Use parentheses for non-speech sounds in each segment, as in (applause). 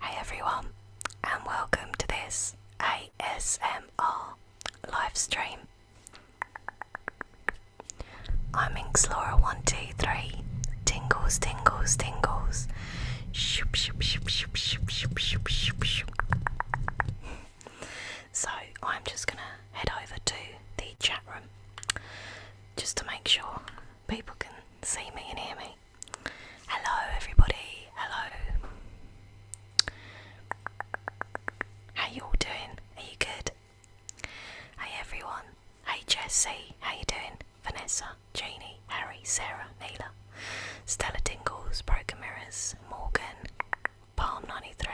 Hi everyone, and welcome to this ASMR live stream. I'm Inxlora123, tingles, tingles, tingles. Shoop, shoop, shoop, shoop, shoop, shoop, shoop, shoop, shoop. So I'm just gonna head over to the chat room just to make sure people can see me and hear me. Hello, everybody. Hello. How you all doing? Are you good? Hey, everyone. Hey, Jessie. How you doing? Vanessa, Jeannie, Harry, Sarah, Neela, Stella Tingles, Broken Mirrors, Morgan, Palm 93.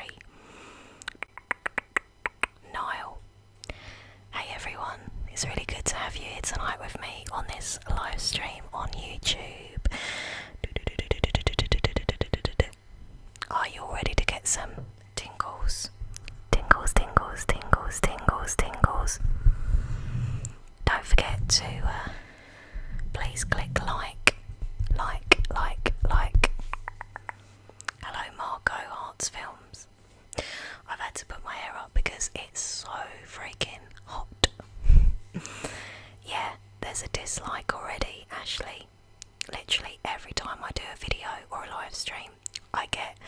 Niall. Hey everyone, it's really good to have you here tonight with me on this live stream on YouTube. Are you all ready to get some tingles? Tingles, tingles, tingles, tingles, tingles. Don't forget to uh, please click like, like, like, like. Hello, Marco Arts Films. I've had to put my hair up because it's so freaking hot. yeah, there's a dislike already, Ashley. Literally every time I do a video or a live stream, I get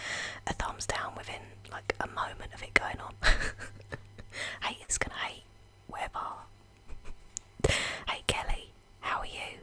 a thumbs down within like a moment of it going on. (laughs) gonna hate, whatever. hey Kelly, how are you?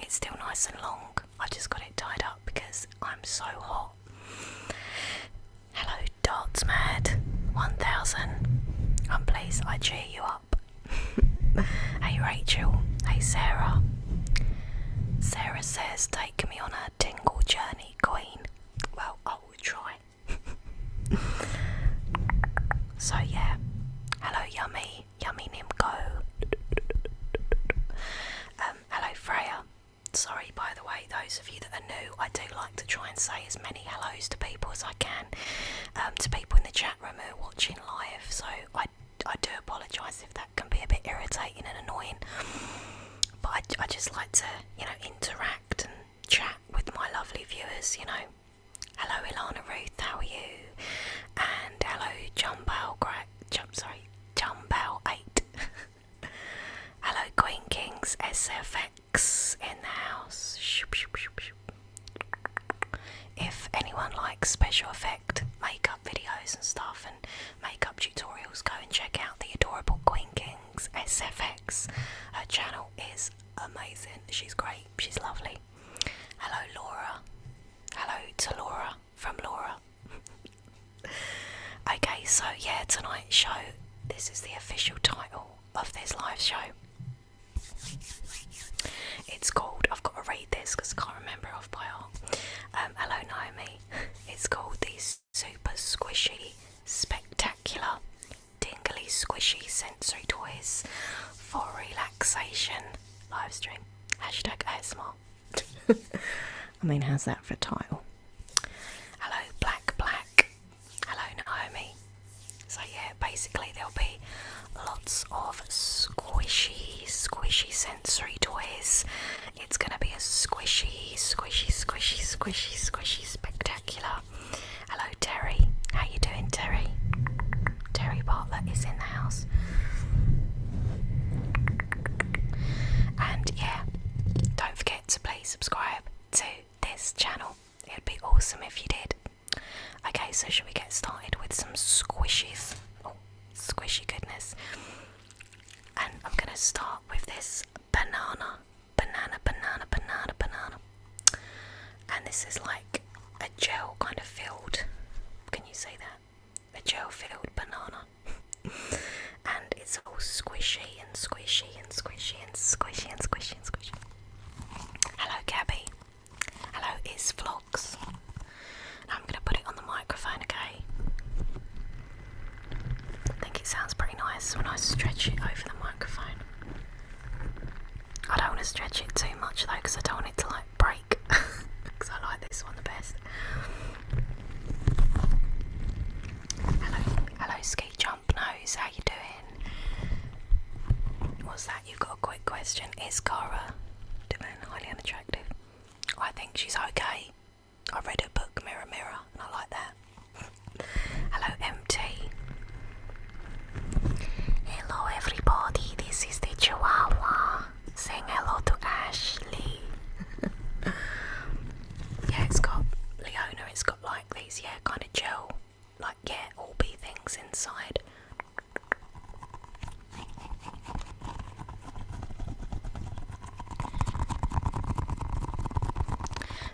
it's still nice and long. I've just got it tied up because I'm so hot. Hello, Darts Mad 1000. I'm um, pleased I cheer you up. (laughs) hey, Rachel. Hey, Sarah. Sarah says, Take me on a tingle journey, Queen. Well, I will try. (laughs) so, yeah. Hello, Yummy yummy, yummy Nimco. um, hello Freya. Sorry, by the way, those of you that are new, I do like to try and say as many hellos to people as I can, um, to people in the chat room who are watching live. So I, I do apologise if that can be a bit irritating and annoying, but I, I just like to, you know, interact and chat with my lovely viewers, you know. Hello, Elana Ruth. How are you? And hello, John Bell. Jump, sorry, John Bell Eight. (laughs) hello, Queen Kings SFX in the house. If anyone likes special effect makeup videos and stuff and makeup tutorials, go and check out the adorable Queen Kings SFX. Her channel is amazing. She's great. She's lovely. Hello, Laura. Hello to Laura from Laura. (laughs) okay, so yeah, tonight's show, this is the official title of this live show. It's called, I've got to read this because I can't remember it off by heart. Um, hello, Naomi. It's called the Super Squishy Spectacular tingly Squishy Sensory Toys for Relaxation live stream. Hashtag ASMR. (laughs) I mean, how's that for a title? Hello, Black Black. Hello, Naomi. So, yeah, basically, there'll be lots of squishy, squishy sensory toys. It's going to be a squishy, squishy, squishy, squishy, squishy spectacular. Hello, Terry. How you doing, Terry? Terry Butler is in the house. And yeah, don't forget to please subscribe to this channel. It'd be awesome if you did. Okay, so should we get started with some squishies? Oh, squishy goodness. And I'm gonna start with this banana, banana, banana, banana, banana. And this is like a gel kind of filled, can you say that? A gel filled banana. (laughs) and it's all squishy and squishy and squishy and squishy and squishy and squishy. Hello, Gabby. Hello, it's Vlogs. I'm going to put it on the microphone, okay? I think it sounds pretty nice when I stretch it over the microphone. I don't want to stretch it too much though because I don't want it to like break because (laughs) I like this one the best. Hello, hello, ski jump nose. How you doing? What's that? You've got a quick question. Is Cara Dillon highly unattractive? I think she's okay. I read a book Mirror Mirror, and I like that. (laughs) Hello, MT. Hello, everybody. This is the Chihuahua saying hello to Ashley. (laughs) yeah, it's got Leona, it's got like these, yeah, kind of gel, like, yeah, all these things inside.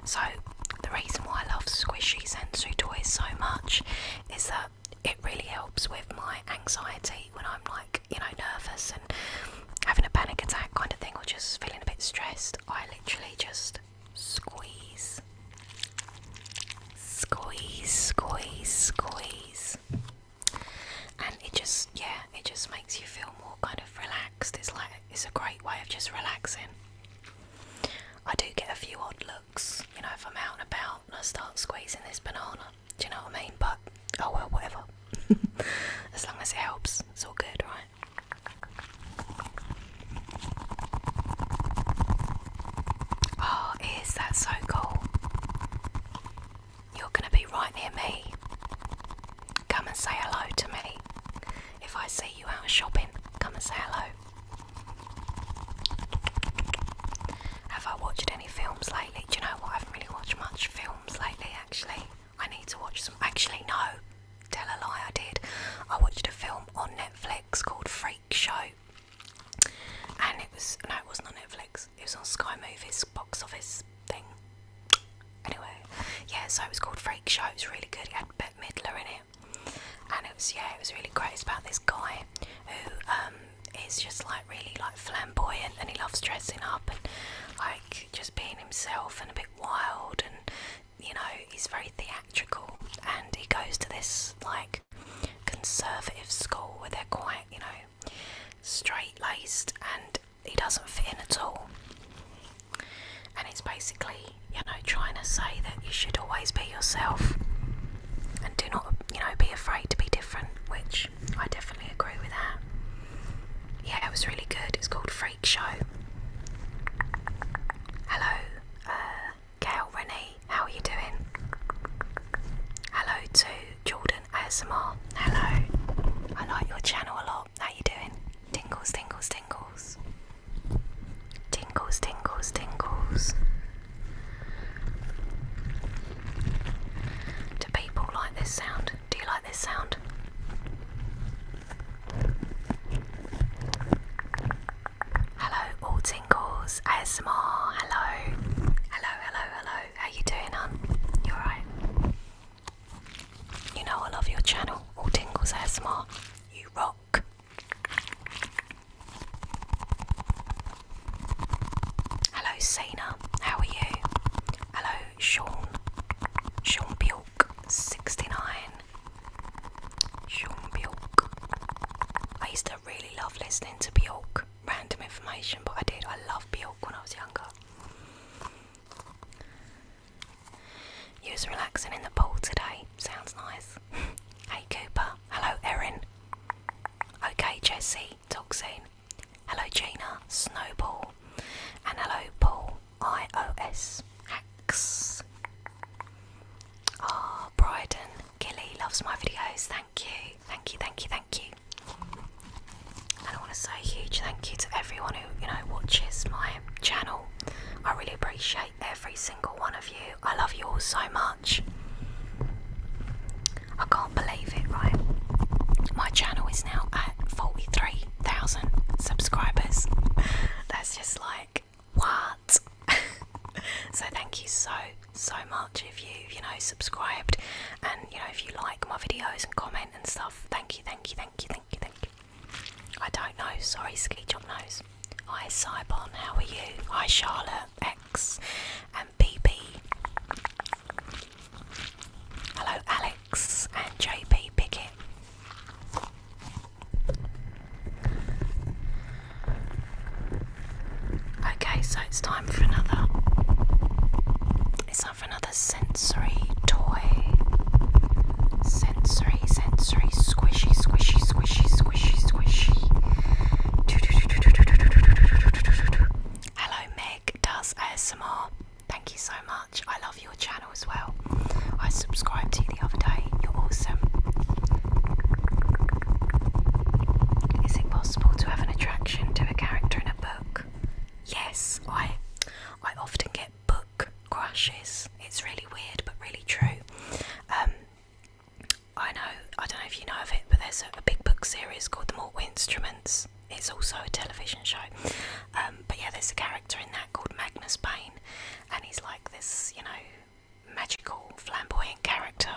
So, the reason why I love squishy sensory toys so much is that it really helps with my anxiety when I'm like, you know, nervous and having a panic attack kind of thing, or just feeling a bit stressed. I literally just squeeze, squeeze, squeeze, squeeze, and it just, yeah, it just makes you feel more kind of relaxed. It's like it's a great way of just relaxing. I do get a few odd looks you know, if I'm out and about and I start squeezing this banana. Do you know what I mean? But oh well, whatever. (laughs) as long as it helps, it's all good, right? Oh, is that so cool? You're gonna be right near me. Come and say hello to me. If I see you out shopping, come and say hello. Have I watched any films lately? Do you know what? I haven't really watched much films lately, actually. I need to watch some. Actually, no. Tell a lie, I did. I watched a film on Netflix called Freak Show. And it was. No, it wasn't on Netflix. It was on Sky Movies box office thing. Anyway, yeah, so it was called Freak Show. It was really good. It had Bette Midler in it. And it was, yeah, it was really great. It's about this guy who um, is just like really like flamboyant and he loves dressing up and like just being himself and a bit wild and you know he's very theatrical and he goes to this like conservative school where they're quite you know straight laced and he doesn't fit in at all and it's basically you know trying to say that you should always be yourself and do not, you know, be afraid to be different, which I definitely agree with that. Yeah, it was really good. It's called Freak Show. Hello, uh, Gail Rennie, how are you doing? Hello to Jordan ASMR. Hello, I like your channel a lot. How you doing? Tingles, tingles, tingles. Tingles, tingles, tingles. Do people like this sound? Do you like this sound? Hello, all tingles, ASMR. Hello, hello, hello, hello. How you doing, hon? You alright? You know I love your channel, all tingles ASMR. You rock. Hello, Sana. How are you? Hello, Sean. Sean Bjork, 69. Sean Bjork. I used to really love listening to Bjork. Random information, but I did. I loved Bjork when I was younger. You was relaxing in the pool today. Sounds nice. (laughs) hey Cooper. Hello Erin. Okay Jesse. Toxane. Hello Jaina, Snowball, and hello Paul, I O S X. Ah, oh, Bryden, Gilly loves my videos, thank you, thank you, thank you, thank you. And I want to say a huge thank you to everyone who, you know, watches my channel. I really appreciate every single one of you. I love you all so much. I can't believe it, right? My channel is now at 43,000 subscribers. (laughs) That's just like, what? (laughs) so, thank you so, so much if you, you know, subscribed and, you know, if you like my videos and comment and stuff. Thank you, thank you, thank you, thank you, thank you. I don't know, sorry, Ski Job knows. Hi, Cybon, how are you? Hi, Charlotte, Alex and BP. Hello, Alex and JP Pickett. Okay, so it's time for another. It's time for another sensory toy. Sensory, sensory, squishy, squishy, squishy, squishy, squishy. Hello Meg does ASMR. Thank you so much. I love your channel as well. I subscribed to you the other day. You're awesome. Is it possible to have an attraction to a character in a book? Yes, I I often get book crushes. It's really weird but really true. Um I know, I don't know if you know of it, but there's a, big book series called The Mortal Instruments. It's also a television show. Um, but yeah, there's a character in that called Magnus Payne, and he's like this, you know, magical, flamboyant character.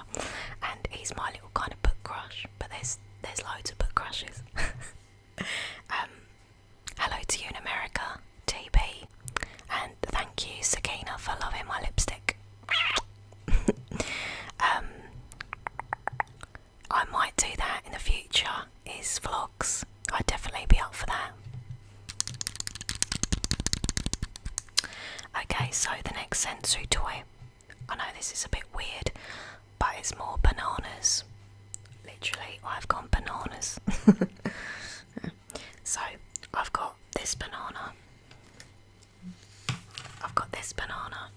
And he's my little kind of book crush, but there's there's loads of book crushes. (laughs) Um, hello to you in America, TB, and thank you, Sakina, for loving my lipstick. (laughs) um, I might do that in the future. Is vlogs? I'd definitely be up for that. Okay, so the next sensory toy. I know this is a bit weird, but it's more bananas. Literally, I've got bananas. (laughs) so I've got this banana. I've got this banana.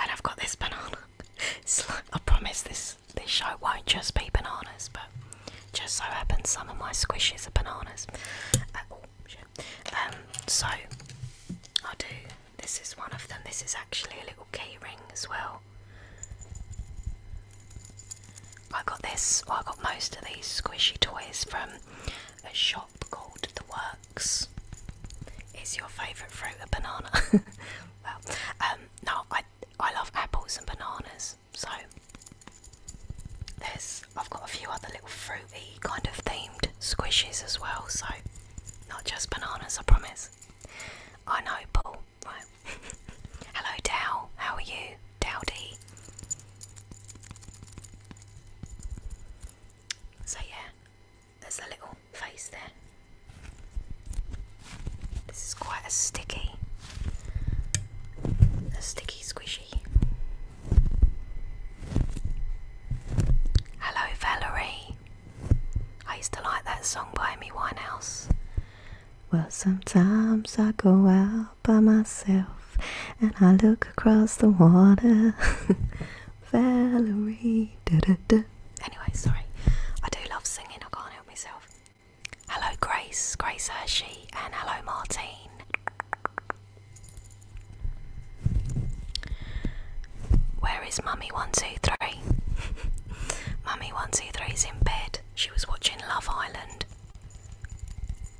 And I've got this banana. (laughs) I promise this this show won't just be bananas, but just so happens some of my squishies are bananas. Uh, oh, um, so I do. This is one of them. This is actually a little key ring as well. I got this. I got most of these squishy toys from a shop called The Works. Is your favourite fruit a banana? (laughs) well, um, no, I I love apples and bananas, so there's I've got a few other little fruity kind of themed squishes as well, so not just bananas, I promise. I know, Paul. Right. (laughs) Hello, Dal. How are you? dowdy. So yeah, there's a little face there. This is quite a sticky, a sticky squishy. Hello Valerie. I used to like that song by Me Winehouse. Well, sometimes I go out by myself, and I look across the water. (laughs) Valerie. Anyway, sorry. I do love singing, I can't help myself. Hello, Grace, Grace Hershey, and hello, Martine. Where is Mummy 123? (laughs) Mummy is in bed. She was watching Love Island.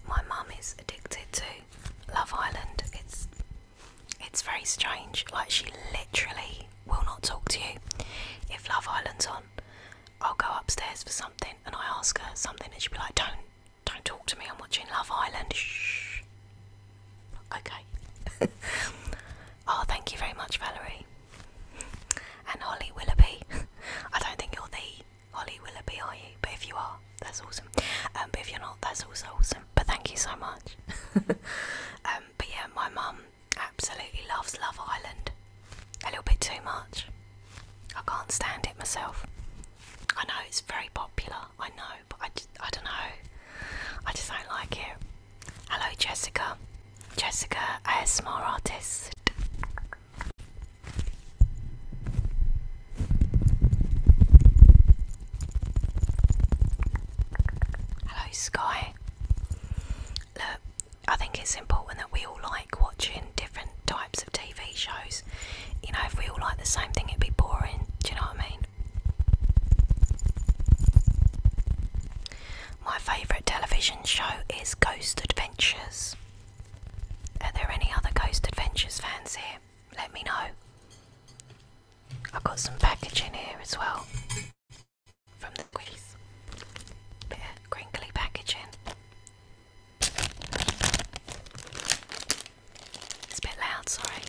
My mum is addicted to Love Island. It's it's very strange. Like she literally will not talk to you. If Love Island's on, I'll go upstairs for something and I ask her something and she'll be like, Don't don't talk to me, I'm watching Love Island. Shh Okay. (laughs) oh, thank you very much, Valerie. And Holly Willoughby. (laughs) I don't think you're the Holly be are you? But if you are, that's awesome. Um, but if you're not, that's also awesome. But thank you so much. (laughs) um, but yeah, my mum absolutely loves Love Island. A little bit too much. I can't stand it myself. I know it's very popular. I know, but I, I don't know. I just don't like it. Hello, Jessica. Jessica, a ASMR artist. Hello, Sky. Look, I think it's important that we all like watching different types of TV shows. You know, if we all like the same thing, it'd be boring. Do you know what I mean? My favourite television show is Ghost Adventures. Are there any other Ghost Adventures fans here? let me know. I've got some packaging here as well from the squeeze. Bit crinkly packaging. It's a bit loud, sorry.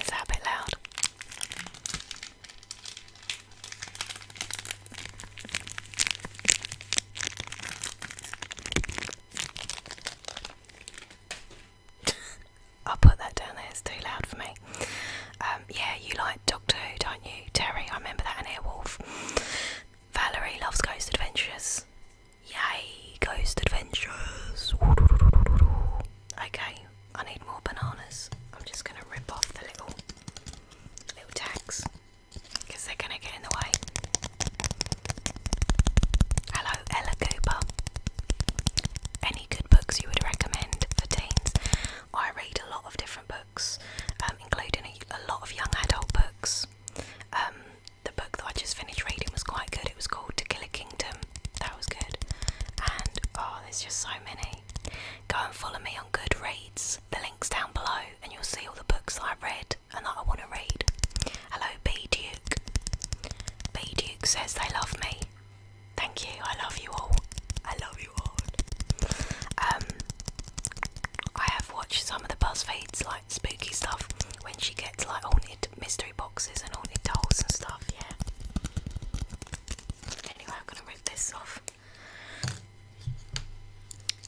Is that a bit loud? (laughs) I'll put that down there, it's too loud for me. Um, yeah, you like Doctor Who, don't you? Terry, I remember that in Airwolf. Valerie loves Ghost Adventures. Yay, Ghost Adventures! (laughs) Okay, I need more bananas. I'm just gonna rip off the little little tags they're going to get in the way. Hello, Ella Cooper. Any good books you would recommend for teens? I read a lot of different books, um, including a, lot of young adult books. Um, the book that I just finished reading was quite good. It was called To Kill Kingdom. That was good. And oh, there's just so many. Go and follow me Good reads. the link's down below, and you'll see all the books I've read and that I want to read. Hello, B Duke. B Duke says they love me. Thank you, I love you all. I love you all. Um, I have watched some of the BuzzFeeds, like spooky stuff, when she gets like haunted mystery boxes and haunted dolls and stuff, yeah. Anyway, I'm gonna rip this off.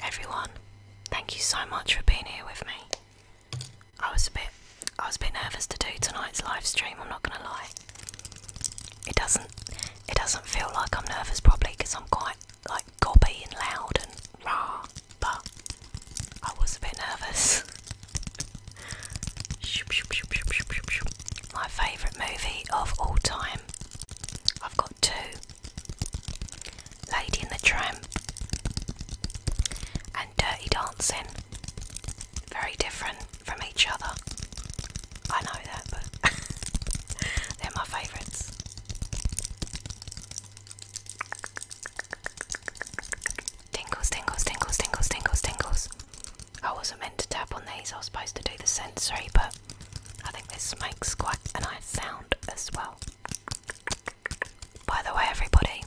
Everyone, thank you so much for being here with me. I was a bit I was a bit nervous to do tonight's live stream, I'm not gonna lie. It doesn't it doesn't feel like I'm nervous probably because I'm quite like gobby and loud and raw, but I was a bit nervous. (laughs) My favourite movie of all time Tram. I've got two Lady in the Tram and Dirty Dancing. Very different from each other. I know that, but (laughs) they're my favourites. Tingles, tingles, tingles, tingles, tingles, tingles. I wasn't meant to tap on these, I was supposed to do the sensory, but I think this makes quite a nice sound as well. By the way, everybody,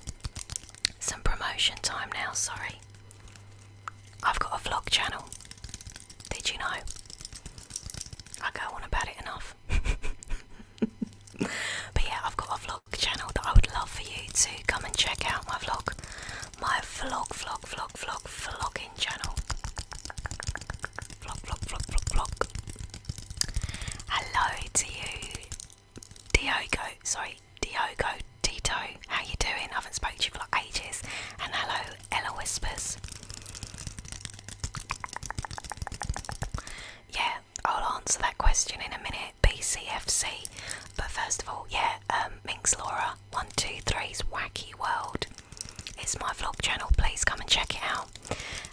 some promotion time now, sorry. I've got a vlog channel. Did you know? I go on about it enough. (laughs) but yeah, I've got a vlog channel that I would love for you to come and check out my vlog. My vlog, vlog, vlog, vlog, vlog Hello to you, Diogo. Sorry, Diogo Dito. How you doing? I haven't spoken to you for like ages. And hello, Ella Whispers. Yeah, I'll answer that question in a minute. BCFC. But first of all, yeah, um, Minx Laura. One two 123's Wacky World. It's my vlog channel, please come and check it out.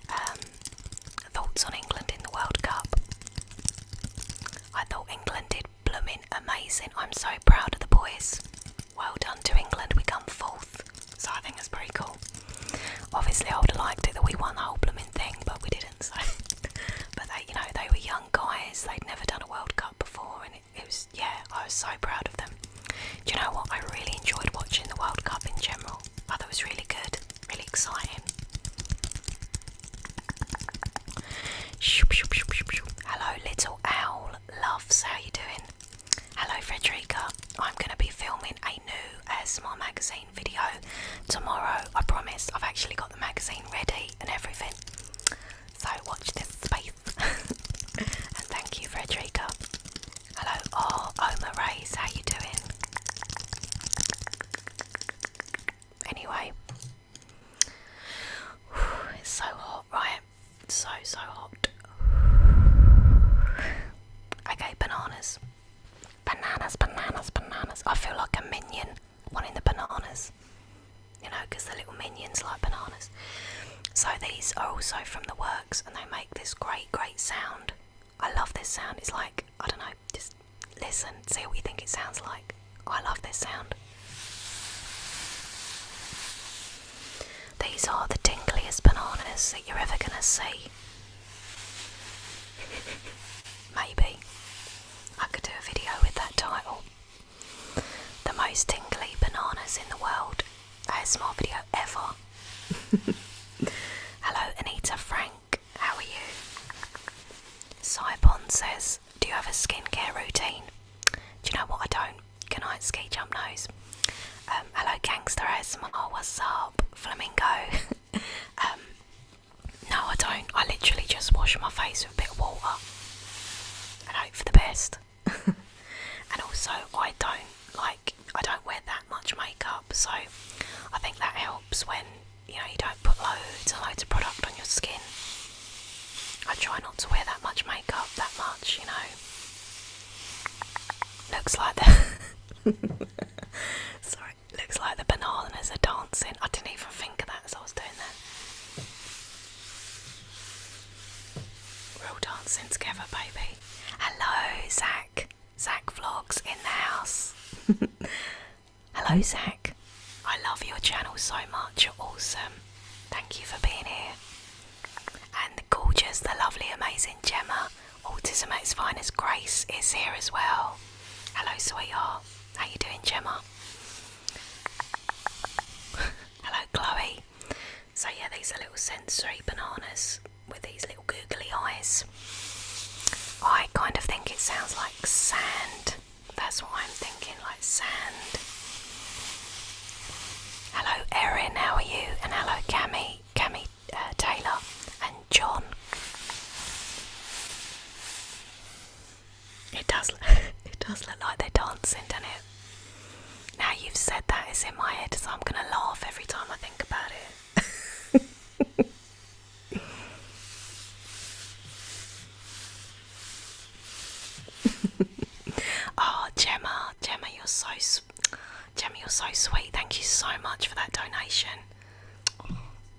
Um, thoughts on England in the World Cup. I thought England did blooming amazing. I'm so proud of the boys. Well done to England, we come fourth. So I think it's pretty cool. Obviously, I would have liked it that we won the whole blooming thing, but we didn't. (laughs) but they, you know, they were young guys. They'd never done a World Cup before, and it was yeah, I was so proud of them. Do you know what? I really enjoyed watching the World Cup in general. I thought it was really good, really exciting. Hello, little owl loves. How you doing? Hello, Frederica. I'm gonna be filming a new ASMR magazine video tomorrow. I promise. I've actually got the magazine ready and everything. So watch this space. (laughs) and thank you, Frederica. Hello, oh, Oma Race, how you doing? Anyway, (sighs) it's so hot, right? So, so hot. (sighs) Okay, bananas. Bananas, bananas, bananas. I feel like a minion wanting the bananas. You know, because the little minions like bananas. So these are also from the works and they make this great, great sound. I love this sound. It's like, I don't know, just listen, see what you think it sounds like. Oh, I love this sound. These are the tinglyest bananas that you're ever gonna see. (laughs) Maybe. I could do a video with that title. The most tingly bananas in the world ASMR video ever. (laughs) Hello, Anita Frank. How are you? Cybon says, Do you have a skincare routine? Do you know what? I don't. Good night, ski jump nose. Um, hello, gangster ASMR. Oh, what's up, flamingo? (laughs) um, no, I don't. I literally just wash my face with a bit of water and hope for the best. (laughs) and also I don't like I don't wear that much makeup, so I think that helps when you know you don't put loads and loads of product on your skin. I try not to wear that much makeup that much, you know. Looks like the (laughs) sorry, looks like the bananas are dancing. I didn't even think of that as I was doing that. We're all dancing together, baby. Hello, Zach. Zach Vlogs in the house. (laughs) Hello, Zach. I love your channel so much. You're awesome. Thank you for being here. And the gorgeous, the lovely, amazing Gemma, Autism at its finest, Grace is here as well. Hello, sweetheart. How you doing, Gemma? (laughs) Hello, Chloe. So yeah, these are little sensory bananas with these little googly eyes. I kind of think it sounds like sand. That's why I'm thinking, like sand. Hello Erin, how are you? And hello Cami, Cami uh, Taylor and John. It does, (laughs) it does look like they're dancing, doesn't it? Now you've said that, it's in my head, so I'm gonna laugh every time I think about it. oh, (laughs) Gemma, Gemma, you're so, Gemma, you're so sweet. Thank you so much for that donation.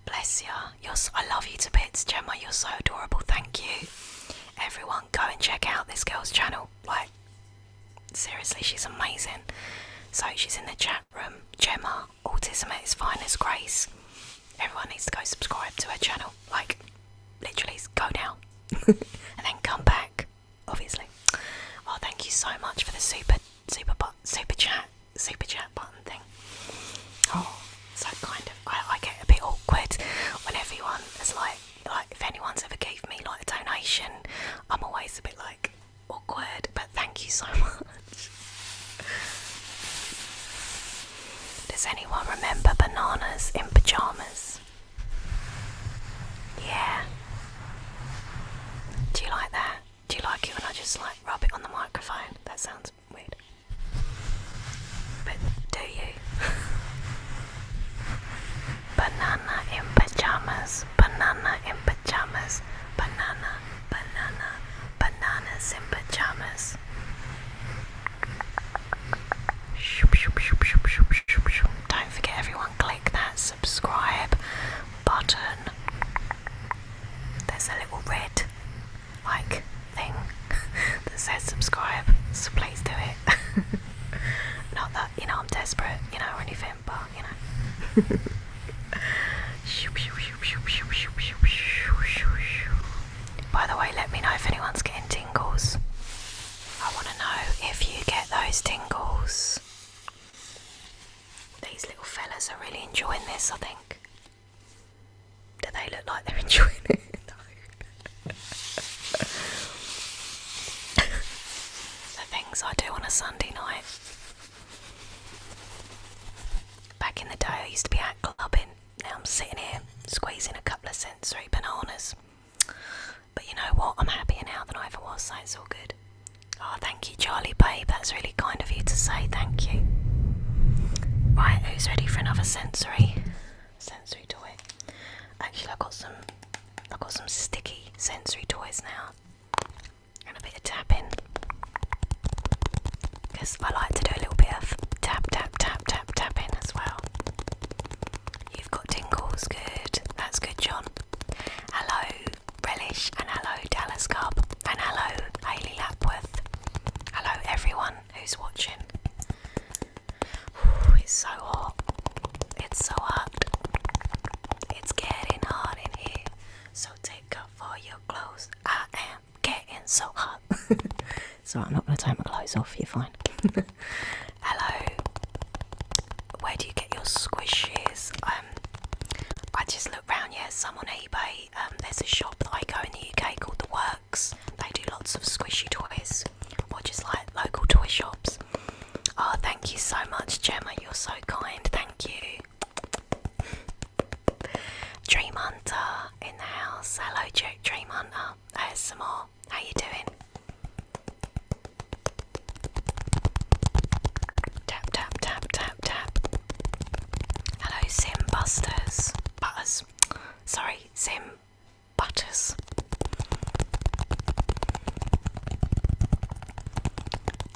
Bless you. I love you to bits, Gemma. You're so adorable. Thank you. Everyone, go and check out this girl's channel. Like, seriously, she's amazing. So she's in the chat room. Gemma, autism at fine as grace. Everyone needs to go subscribe to her channel. Like, literally, go now (laughs) and then come back. Obviously. Oh, thank you so much for the super, super, bot, super chat, super chat button thing. Oh, so kind of. I, I get a bit awkward when everyone is like like if anyone's ever gave me like a donation, I'm always a bit like awkward, but thank you so (laughs) much. Does anyone remember bananas in pajamas? Yeah. Do you like that? Do you like it when I just like rub it on the microphone? That sounds weird. But do you? Banana in pajamas, banana in pajamas, banana, banana, bananas in pajamas. Don't forget, everyone, click that subscribe button. There's a little red like thing (laughs) that says subscribe, so please do it. (laughs) Not that you know, I'm desperate, you know, or anything, but, you know. By the way, let me know if anyone's getting tingles. I want to know if you get those tingles. These little fellas are really enjoying this, I think. Do they look like they're (laughs) enjoying it? (laughs) the things I do on a Sunday night. Back in the day, I used to be at clubbing. Now I'm sitting here squeezing a couple of sensory bananas. But you know what? I'm happier now than I ever was, so it's all good. Oh, thank you, Charlie, babe. That's really kind of you to say thank you. Right, who's ready for another sensory? sensory toy. Actually, I got some. I got some sticky sensory toys now, and a bit of tapping. Because I like to do a little bit of tap, tap, tap, tap, tapping as well. You've got tingles, good. That's good, John. Hello, Relish, and hello, Dallas Cobb, and hello, Hayley Lapworth. Hello, everyone who's watching it's so hot. It's so hot. It's getting hot in here. So take off all your clothes. I am getting so hot. (laughs) so I'm not gonna take my clothes off. You're fine. (laughs) Hello. Where do you get your squishies? Um, I just looked round. Yeah, some on eBay. Um, there's a shop that I go in the UK called The Works. They do lots of squishy toys, or just like local toy shops. Oh, thank you so much, Gemma. You're so kind. Thank you. Dream Hunter in the house. Hello, Jack Dream Hunter. There's some more. How you doing? Tap tap tap tap tap. Hello, Sim Busters. Butters. Sorry, Sim butters.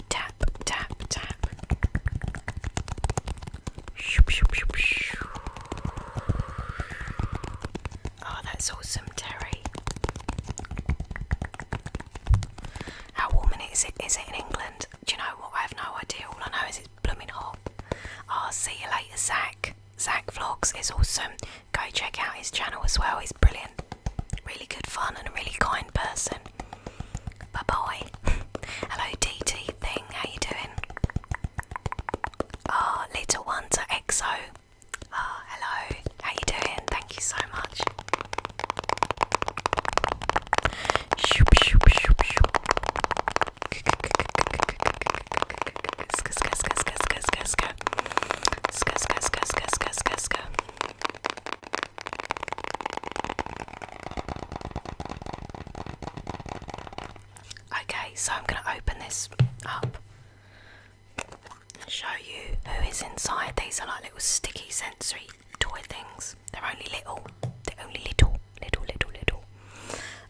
Tap, tap, tap. Oh, that's awesome, Terry. How warm it is it is it in England? Do you know what? I have no idea. All I know is it's blooming hot. I'll see you later, Zach. Zach Vlogs is awesome go check out his channel as well. He's brilliant, really good fun, and a really kind person. Bye bye. Hello, D T thing. How you doing? Ah, oh, little one to EXO. Ah, hello. How you doing? Thank you so much. Shoop, shoop, shoop, shoop. Go, go, go, go, go, go, go, go, go, go, go, go, go, go, go, go, go, go, Okay, so I'm going to open this up and show you who is inside. These are like little sticky sensory toy things. They're only little. They're only little, little, little, little.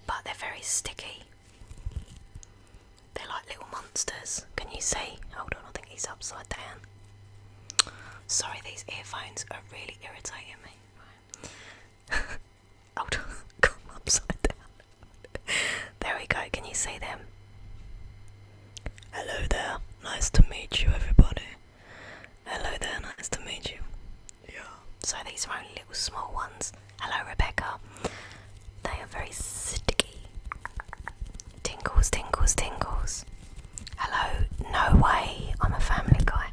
But they're very sticky. They're like little monsters. Can you see? Hold on, I think he's upside down. Sorry, these earphones are really irritating me. (laughs) Hold on, come (laughs) upside down. there we go, can you see them? Hello there, nice to meet you, everybody. Hello there, nice to meet you. Yeah. So these are only little small ones. Hello, Rebecca. They are very sticky. Tingles, tingles, tingles. Hello, no way, I'm a family guy.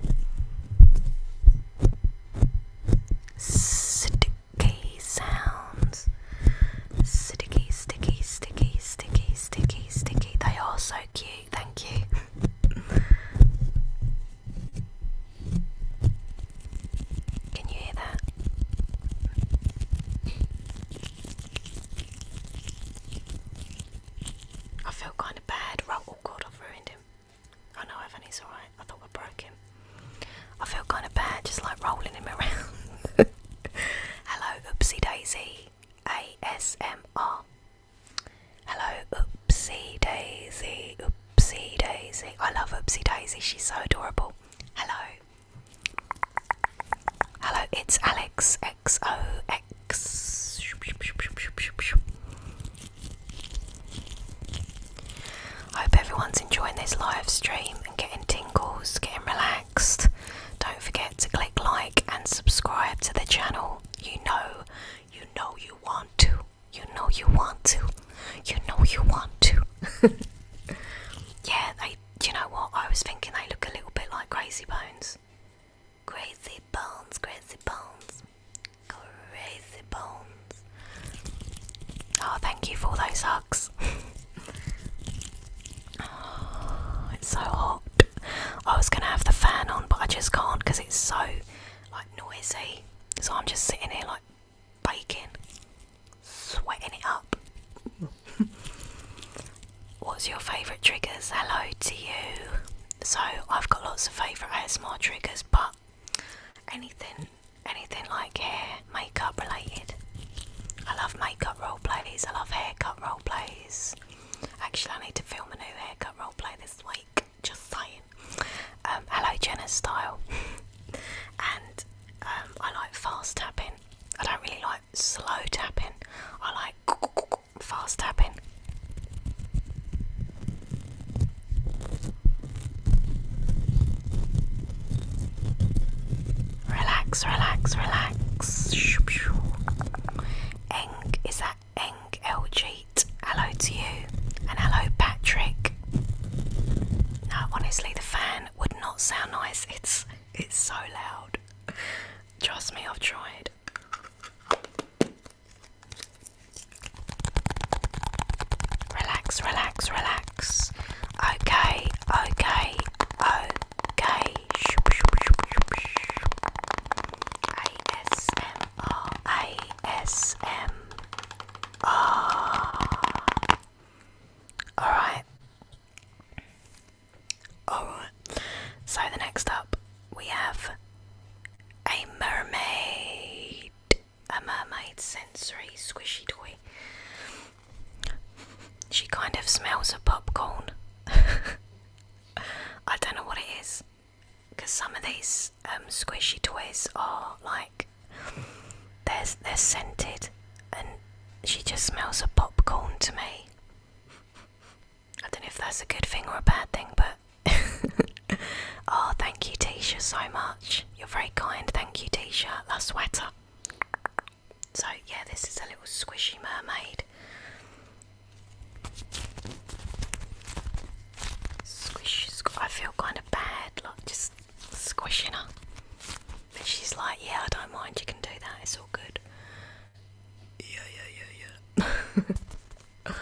Sticky sounds. Sticky, sticky, sticky, sticky, sticky, sticky. They are so cute, thank you. (laughs) Can you hear that? I feel kind of bad. Oh god, I've ruined him. I know Anthony's alright. I thought I broke him. I feel kind of bad just like rolling him (laughs) around. Hello, Oopsie Daisy. ASMR. Hello, Oopsie Daisy. Oopsie Daisy. I love Oopsie Daisy. She's so adorable. Hello. Hello, it's Alex XOX. hope everyone's enjoying this live stream and getting tingles, getting relaxed. Don't forget to click like and subscribe to the channel. You know, you know you want to. You know you want to. You know you want to. (laughs) yeah, I. Do you know what? I was thinking they look a little bit like Crazy Bones. Crazy Bones, Crazy Bones, Crazy Bones. Oh, thank you for all those hugs. (laughs) Oh, it's so hot. I was gonna have the fan on, but I just can't because it's so like noisy. So I'm just sitting here like baking, sweating it up. (laughs) What's your favourite triggers? Hello to you. So I've got lots of favourite hair style triggers, but anything, anything like hair, makeup related. I love makeup role plays. I love haircut role plays. Actually, I need to film a new haircut role play this week. Just saying. Um, hello, Jenna Style. (laughs) and um, I like fast tapping. I don't really like slow tapping. I like fast tapping. Relax, relax, relax. Eng, is that Eng LG? Hello to you, and hello, Patrick. Now, honestly, the fan would not sound nice. It's it's so loud. Trust me, I've tried. Relax, relax, relax. Okay, okay, okay. ASMR, ASMR. Alright, Alright, so the next up we have a mermaid. A mermaid sensory squishy toy. She kind of smells of popcorn. (laughs) I don't know what it is. Because some of these um, squishy toys are like they're, they're scented and she just smells of popcorn to me. I don't know if that's a good thing or a bad thing, but. (laughs) oh, thank you, Tisha, so much. You're very kind. Thank you, Tisha. Love sweater. So, yeah, this is a little squishy mermaid. Squishy, I feel kind of bad, Look, just squishing her. But she's like, yeah, I don't mind, you can do that, it's all good. Yeah, yeah, yeah, yeah.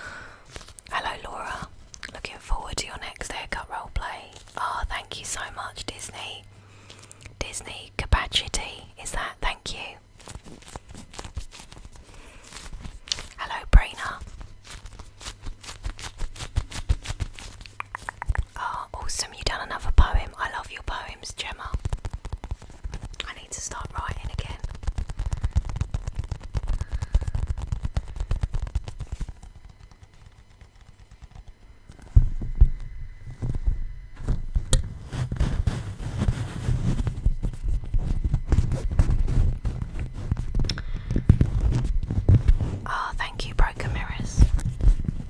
(laughs) Hello, Laura. Looking forward to your next haircut role play. Oh, thank you so much, Disney. Disney capacity is that? Thank you. Hello, Brina. Oh, awesome, you have done another poem. I love your poems, Gemma. I need to start writing again. Oh, thank you, Broken Mirrors.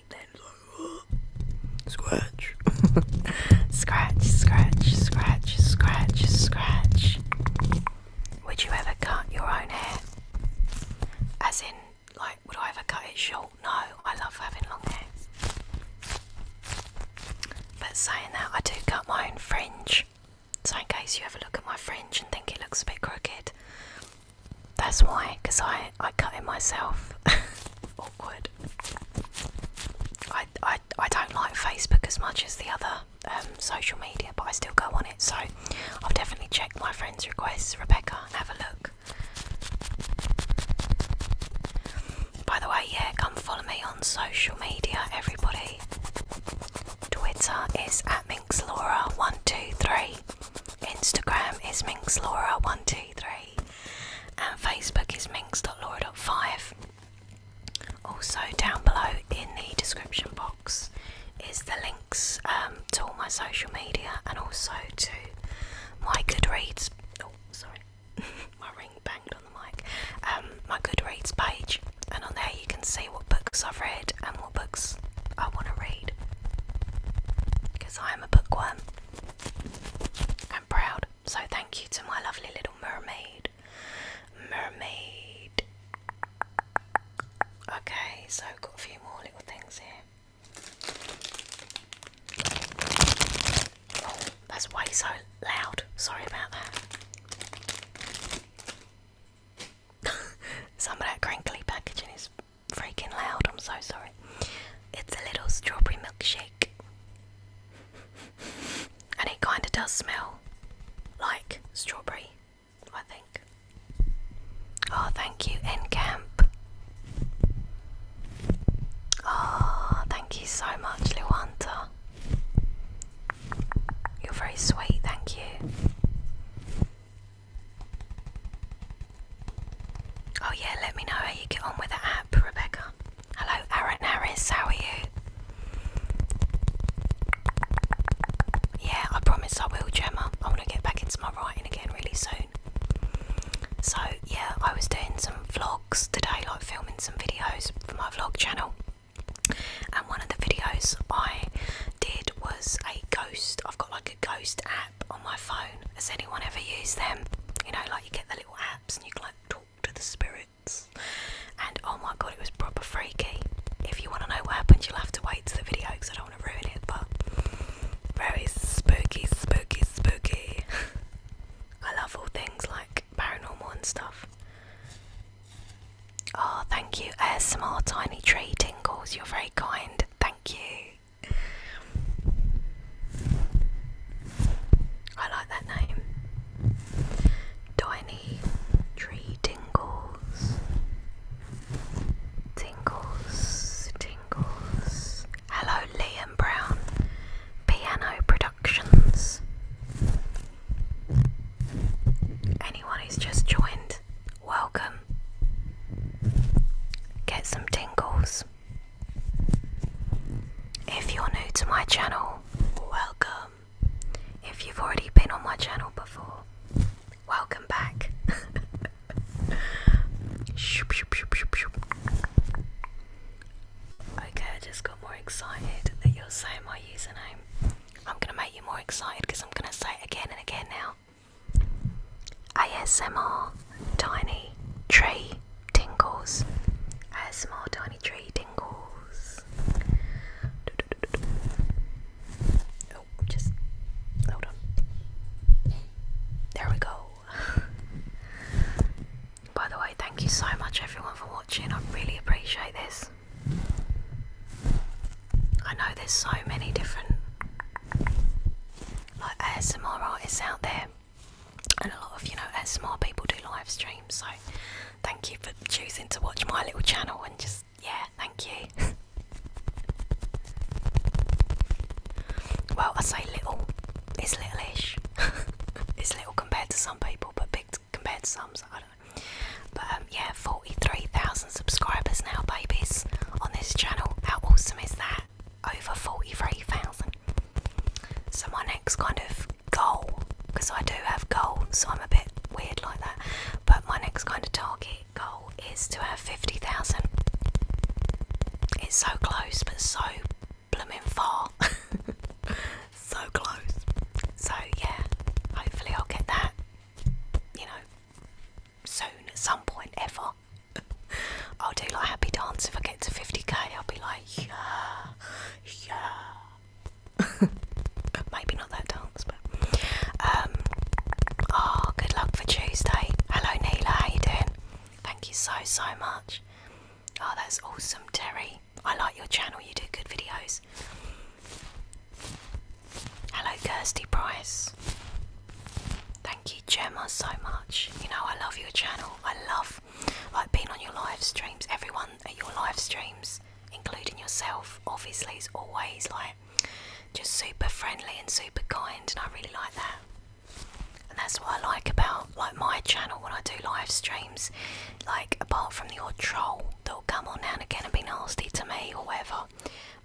(laughs) Scratch. scratch, scratch, scratch, scratch, Would you ever cut your own hair? As in, like, would I ever cut it short? No, I love having long hair. But saying that, I do cut my own fringe. So, in case you ever look at my fringe and think it looks a bit crooked, that's why, because I, I cut it myself. (laughs) awkward. I, I, I don't like Facebook as much as the other um, social media, but I still go on it, so I'll definitely check my friends' requests, Rebecca, have a look. By the way, yeah, come follow me on social media, everybody. Twitter is at MinxLaura123. Instagram is MinxLaura123 and Facebook is minx.laura.5. Also, down below in the description box is the links um, to all my social media and also to my Goodreads. Oh, sorry, (laughs) my ring banged on the mic. Um, my Goodreads page, and on there you can see what books I've read and what books I want to read because I am a bookworm. I'm proud. So thank you to my lovely little mermaid. Mermaid. Okay, so got a few more little things here. Oh, that's way so loud. Sorry about that. (laughs) Some of that crinkly packaging is freaking loud. I'm so sorry. It's a little strawberry milkshake. And it kind of does smell like strawberry, I think. Oh, thank you, Encamp. Oh, thank you so much, Luanta. You're very sweet, thank you. Oh, yeah, let me know how you get on with the Rebecca. Hello, Aaron Harris, how are you? Yeah, I promise I will, Gemma. I want to get back into my writing again really soon. So, yeah, I was doing some vlogs today, like filming some videos for my vlog channel. And one of the videos I did was a ghost. I've got like a ghost app on my phone. Has anyone ever used them? You know, like you get the apps and you can like talk to the spirits. And oh my god, it was proper freaky. If you want to know what happened, you'll have to wait to the video because I don't want to ruin it. But very spooky, spooky, spooky. (laughs) I love all things like paranormal and stuff. Oh, thank you. ASMR Tiny Tree Tingles, you're very kind. Thank you. I like that name. Tiny tree tingles. Tingles, tingles. Hello, Liam Brown. Piano Productions. Anyone who's just joined, welcome. Get some tingles. If you're new to my channel, welcome. If you've already been on my channel before, welcome back. okay, I just got more excited that you're saying my username. I'm gonna make you more excited because I'm gonna say it again and again now. ASMR Tiny Tree tingles. A small tiny tree tingles. Oh, just hold on. There we go. (laughs) By the way, thank you so much everyone for watching. I really appreciate this. I know there's so many different like more artists out there and a lot of you know ASMR people do live streams, so thank you for choosing to watch my little channel and just yeah, thank you. (laughs) well, I say little, it's littleish. (laughs) it's little compared to some people, but big compared to some. So I don't know. But um, yeah, forty-three thousand subscribers now, babies, on this channel. How awesome is that? over 43,000. So, my next kind of goal, because I do have goals, so I'm a bit weird like that, but my next kind of target goal is to have 50,000. It's so close, but so blooming far. (laughs) so close. So, yeah, hopefully, I'll get that, you know, soon at some point ever. (laughs) I'll do like happy dance if I get to 50k. I'll be like, yeah, yeah. (laughs) Maybe not that dance, but um. Oh, good luck for Tuesday. Hello, Neela. How you doing? Thank you so so much. Oh, that's awesome, Terry. I like your channel. You do good videos. Hello, Kirsty Price. Thank you, Gemma, so much. You know I love your channel. I love like being on your live streams, everyone at your live streams, including yourself, obviously, is always like just super friendly and super kind, and I really like that. And that's what I like about like my channel when I do live streams. Like apart from the odd troll that'll come on now and again and be nasty to me or whatever,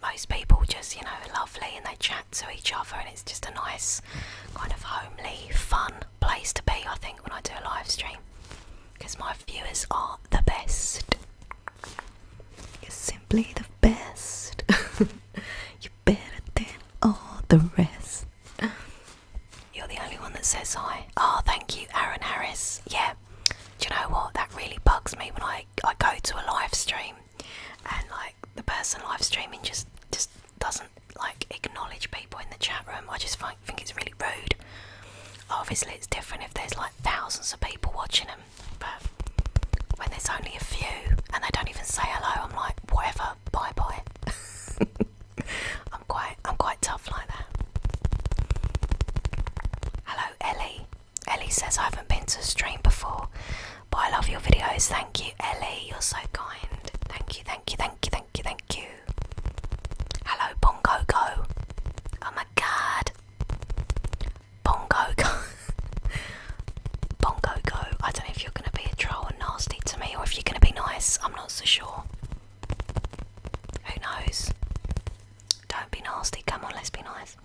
most people just you know are lovely and they chat to each other and it's just a nice kind of homely, fun place to be, I think, when I do a live stream because my viewers are the best. You're simply the best. (laughs) You're better than all the rest. You're the only one that says hi. Oh, thank you, Aaron Harris. Yeah. Do you know what? That really bugs me when I, I go to a live stream and like the person live streaming just just doesn't like acknowledge people in the chat room. I just find, think it's really rude. Obviously, it's different if there's like thousands of people watching them, but when there's only a few and they don't even say hello, I'm like, whatever, bye bye. (laughs) I'm quite I'm quite tough like that. Hello, Ellie. Ellie says I haven't been to a stream before, but I love your videos. Thank you, Ellie. You're so kind. Thank you, thank you, thank you, thank you, thank you. Hello, Bongo Go. Oh my god. Bongo Go. (laughs) Bongo Go. I don't know if you're going to be a troll and nasty to me or if you're going to be nice. I'm not so sure. Who knows? Don't be nasty. Come on, let's be nice.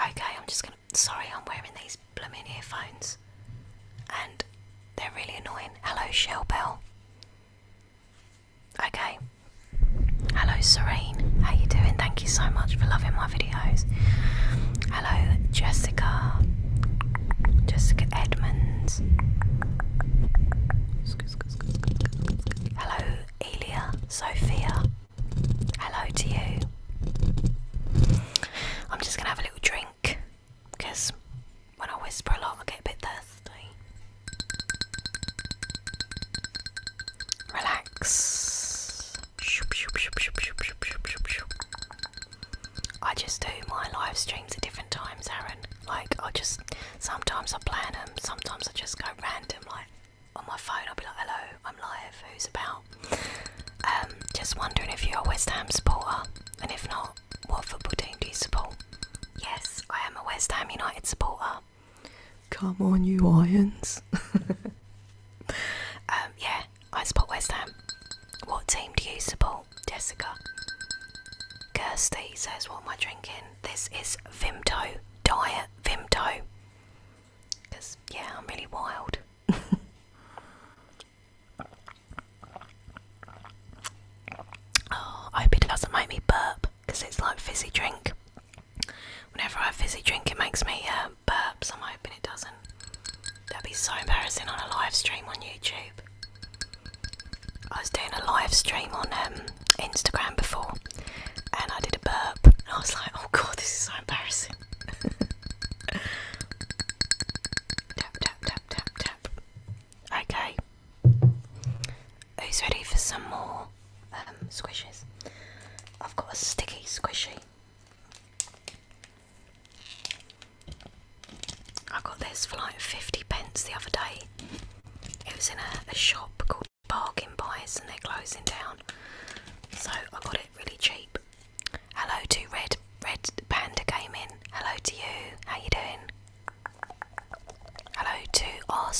Okay, I'm just going to. Sorry, I'm wearing these these blooming earphones, and they're really annoying. Hello, Shell Bell. Okay. Hello, Serene. How you doing? Thank you so much for loving my videos. Hello, Jessica. Jessica Edmonds. Hello, Elia. Sophia. Hello to you. I'm just gonna have a little drink because when I whisper a lot, I get a bit thirsty. Relax. I just do my live streams at different times, Aaron. Like, I just sometimes I plan them, sometimes I just go random. Like, on my phone, I'll be like, hello, I'm live, who's about? Um, just wondering if you're a West Ham supporter. And if not, what football team do you support? Yes, I am a West Ham United supporter. Come on, you irons. (laughs) Um, yeah, I support West Ham. What team do you support, Jessica? Kirsty says, What am I drinking? This is Vimto, Diet Vimto. Because, yeah, I'm really wild. (laughs) Oh, I hope it doesn't make me burp because it's like fizzy drink. Whenever I have fizzy drink, it makes me uh, burp, so I'm hoping it doesn't. That'd be so embarrassing on a live stream on YouTube. I was doing a live stream on um, Instagram before and I did a burp, and I was like, oh god, this is so embarrassing. (laughs) tap, tap, tap, tap, tap, tap. Okay. Who's ready for some more um, squishes? I've got a sticky squishy. I got this for like 50 pence the other day. It was in a, shop called Bargain Buys and they're closing down. So I got it really cheap. Hello to Red Red Panda in. Hello to you. How you doing? Hello to R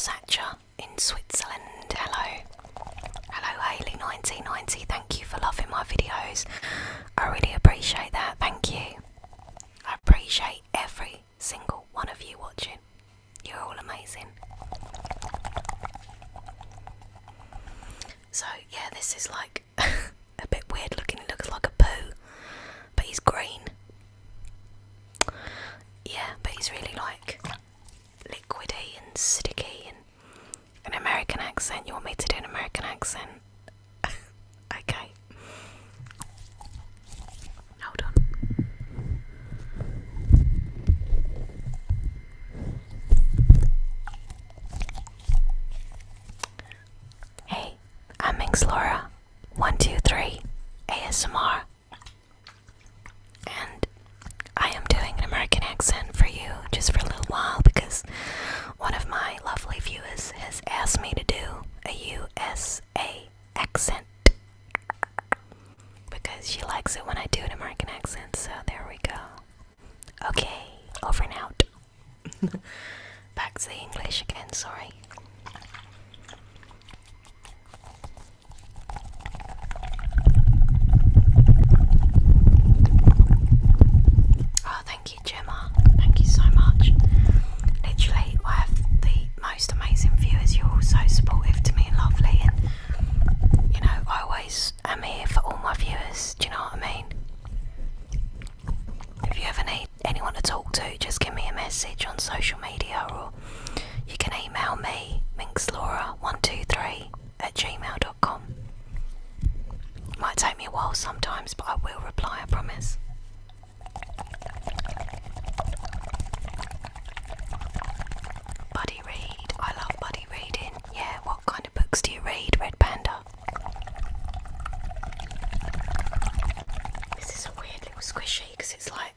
in Switzerland. Hello. Hello Haley1990. Thank you for loving my videos. I really appreciate that. Thank you. I appreciate every single one of you watching. You're all amazing. So yeah, this is like (laughs) a bit weird looking. He looks like a poo, but he's green. Yeah, but he's really like liquidy and sticky and an American accent. You want me to do an American accent? (laughs) okay. Hold on. Hey, I'm Minx Laura. One, two, three, ASMR. And I am doing an American accent for you just for a little while because one of my lovely viewers has asked me to do a USA accent because she likes it when I do an American accent. So there we go. Okay, over and out. (laughs) Back to the English again, sorry. Oh, thank you, Gemma. Thank you so much. Literally, I have the most amazing viewers. You're all so supportive to me and lovely, and you know, I always am here for all my viewers. Do you know what I mean? if you have an, anyone to talk to, just give me a message on social media or you can email me, minxlaura123 at gmail.com. Might take me a while sometimes, but I will reply, I promise. Buddy read. I love buddy reading. Yeah, what kind of books do you read, Red Panda? This is a weird little squishy because it's like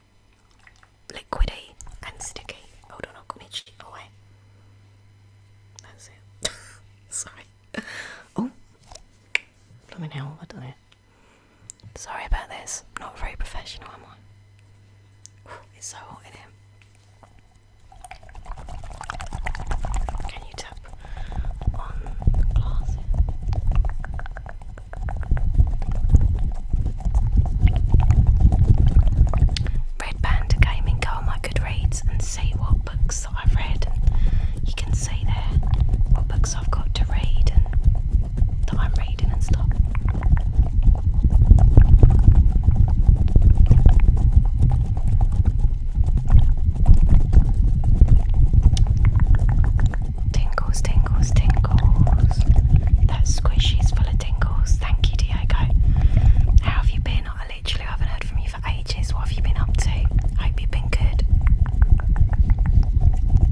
liquidy and sticky. Hold on, I've got my cheek That's it. (laughs) Sorry. Oh, blooming hell, I don't know. Sorry about this. Not very professional, am I? It's so hot in here. Can you tap on glasses? Red Panda Gaming, go on my Goodreads and see what books I've read. you can see there what books I've got to read that I'm reading and stuff. Tingles, tingles, tingles. That squishy's full of tingles. Thank you, Diego. How have you been? I literally haven't heard from you for ages. What have you been up to? Hope you've been good.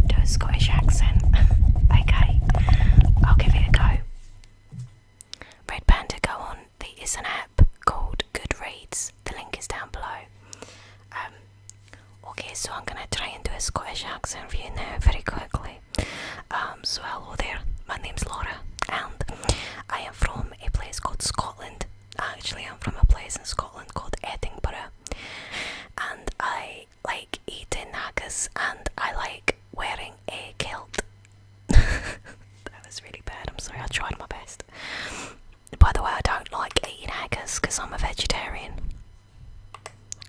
Do a Scottish accent. (laughs) okay, I'll give it a go. Red Panda, go on. There is an app called Goodreads the link is down below. Um, okay, so I'm gonna try and do a Scottish accent for you now very quickly. Um, so hello there, my name is Laura, and I am from a place called Scotland. Actually, I'm from a place in Scotland called Edinburgh, and I like eating haggis and I like wearing a kilt. (laughs) that was really bad. I'm sorry. I tried my best. By the way, I don't like eating haggis because I'm a vegetarian.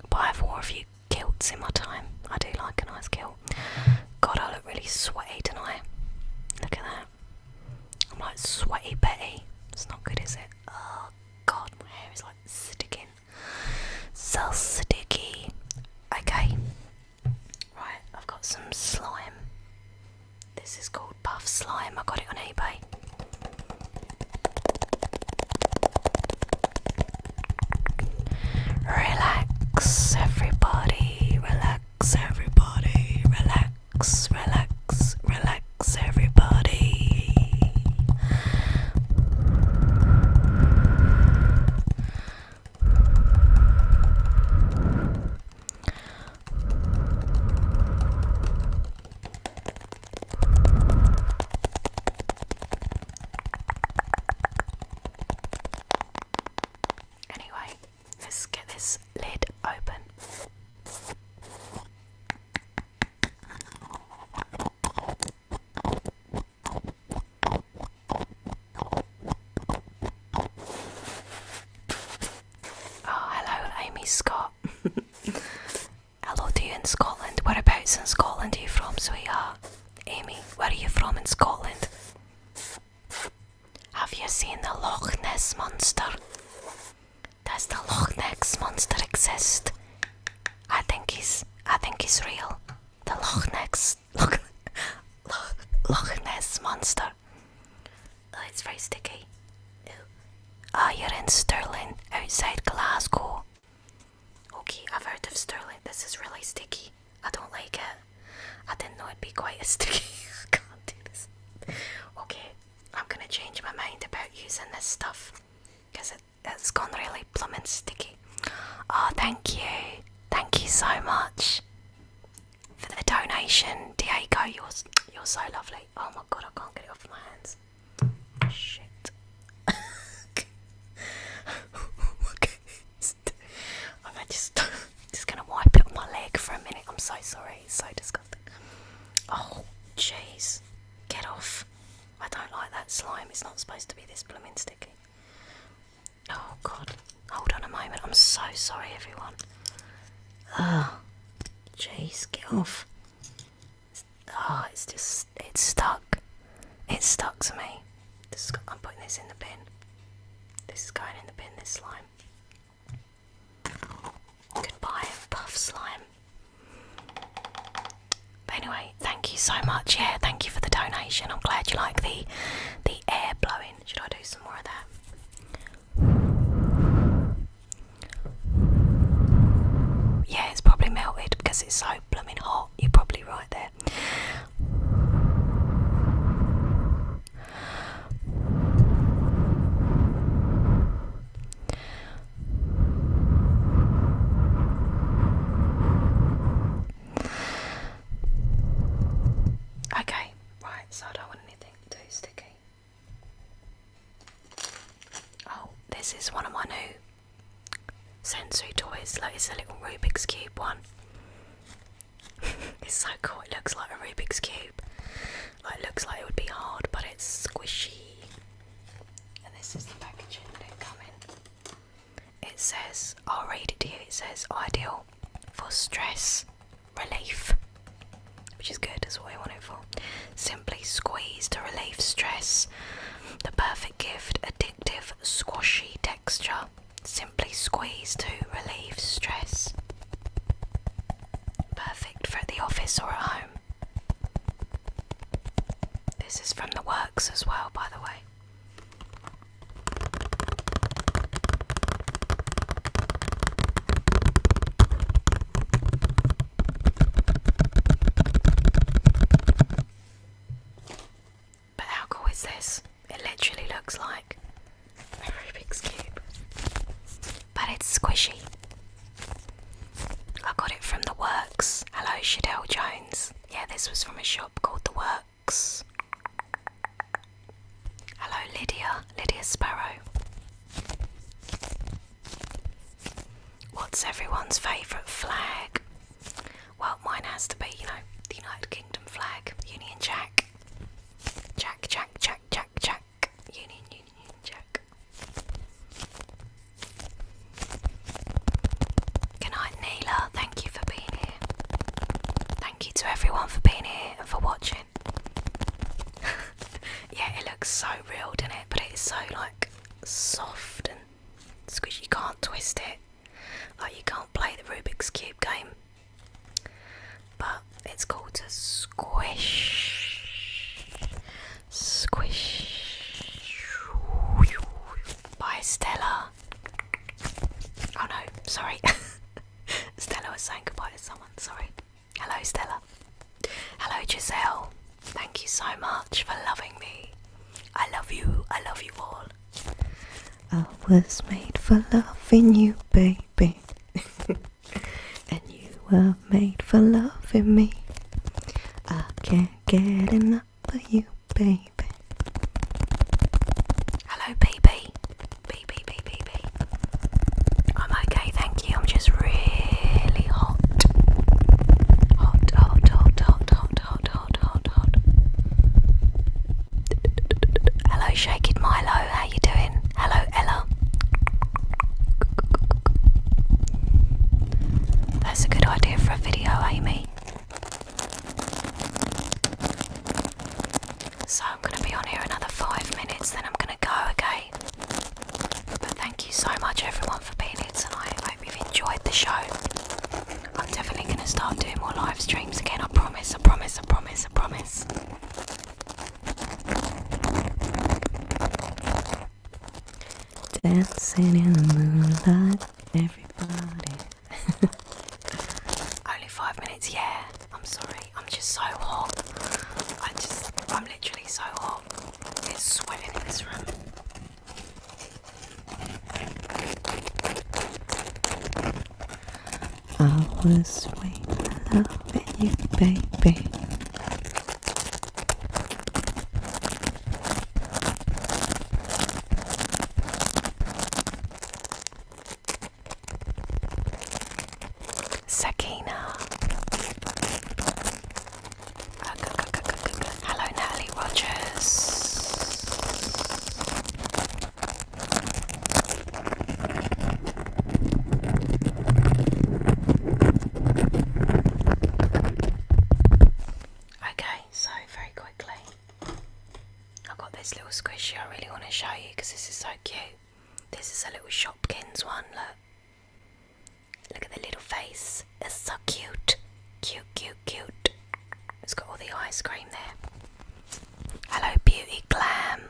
But I've worn a few kilts in my time. I do like a nice kilt. God, I look really sweaty tonight. Look at that. I'm like sweaty Betty. It's not good, is it? Oh God, my hair is like sticking. So sticky. Okay. Right, I've got some slime. This is called Puff Slime. I got it on eBay. Relax, everybody. Relax, everybody. Relax, relax, relax, everybody. Anyway, let's get this lid open. Oh, hello, Amy Scott. (laughs) hello do you in Scotland. Whereabouts in Scotland are you from, sweetheart? Amy, where are you from in Scotland? Have you seen the Loch Ness Monster? Does the Loch Ness Monster exist? I think he's, I think he's real. The Loch Ness, Loch, (laughs) Loch Ness Monster Oh, it's very sticky. No. Ah, you're in Sterling outside Glasgow. Okay, I've heard of Sterling. This is really sticky. I don't like it. I didn't know it'd be quite as (laughs) sticky. I can't do this. Okay, I'm gonna change my mind about using this stuff because it, has gone really plumb and sticky. Oh, thank you. Thank you so much for the donation, Diego. You're you're so lovely. Oh my god, I can't get it off my hands. Shit. okay. (laughs) I'm just just gonna wipe it off my leg for a minute. I'm so sorry. It's so disgusting. Oh jeez, get off. I don't like that slime. It's not supposed to be this blooming sticky. Oh god. Hold on a moment. I'm so sorry, everyone. Ugh. Chase, get off. It's, ah, it's just, it's stuck. It's stuck to me. I'm putting this in the bin. This is going in the bin, this slime. Goodbye, puff slime. But anyway, thank you so much. Yeah, thank you for the donation. I'm glad you like the the air blowing. Should I do some more of that? Yeah, it's probably melted because it's so blooming hot. You're probably right there. Okay, right, so I don't want anything too sticky. Oh, this is one of my new sensory toys. Like it's a little Rubik's Cube one. (laughs) it's so cool. It looks like a Rubik's Cube. it looks like it would be hard, but it's squishy. And this is the packaging that it come in. It says, i read it it says ideal for stress relief, which is good, that's what I want it for. Simply squeeze to relieve stress. The perfect gift, addictive, squashy texture. Simply squeeze to relieve stress. Perfect for at the office or at home. This is from the works as well, by the way. But how cool is this? It literally looks like a big Cube, but it's squishy. I got it from The Works. Hello, Shadell Jones. Yeah, this was from a shop called The Works. Hello, Lydia, Lydia Sparrow. What's everyone's favourite flag? Well, mine has to be, you know, the United Kingdom flag, Union Jack. Jack, Jack, Jack, Jack, Jack. Union, Union, Jack. Good Neela. Thank you for being here. Thank you to everyone for being here and for watching. (laughs) yeah, it looks so real, doesn't it? But it's so like soft and squishy. You can't twist it. Like you can't play the Rubik's Cube game. But it's called a squish. Squish by Stella. Oh no, sorry. (laughs) Stella was saying goodbye to someone, sorry. Hello, Stella. Hello, Giselle. Thank you so much for loving me. I love you. I love you all. I was made for loving you, baby. (laughs) and you were made for loving me. I can't get enough of you, baby. Hello, baby. I'm okay, thank you. I'm just really hot. Hot, hot, hot, hot, hot, hot, hot, hot, hot. Hello, Shake It Milo. How you doing? Hello, Ella. That's a good idea for a video, Amy. So I'm going to be on here another five minutes, then I'm going to go, okay? But thank you so much, everyone, for being here tonight. I hope you've enjoyed the show. I'm definitely going to start doing more live streams again, I promise, I promise, I promise, I promise. Dancing in the moonlight, everybody. (laughs) Only five minutes, yeah. I'm sorry, I'm just so hot. I just, I'm literally so hot. It's sweating in this room. I was waiting loving you, baby. Sakina. Hello, Nelly Rogers. Okay, so very quickly, I've got this little squishy I really want to show you because this is so cute. This is a little Shopkins one, look. Look at the little face. It's so cute. Cute, cute, cute. It's got all the ice cream there. Hello, Beauty Glam.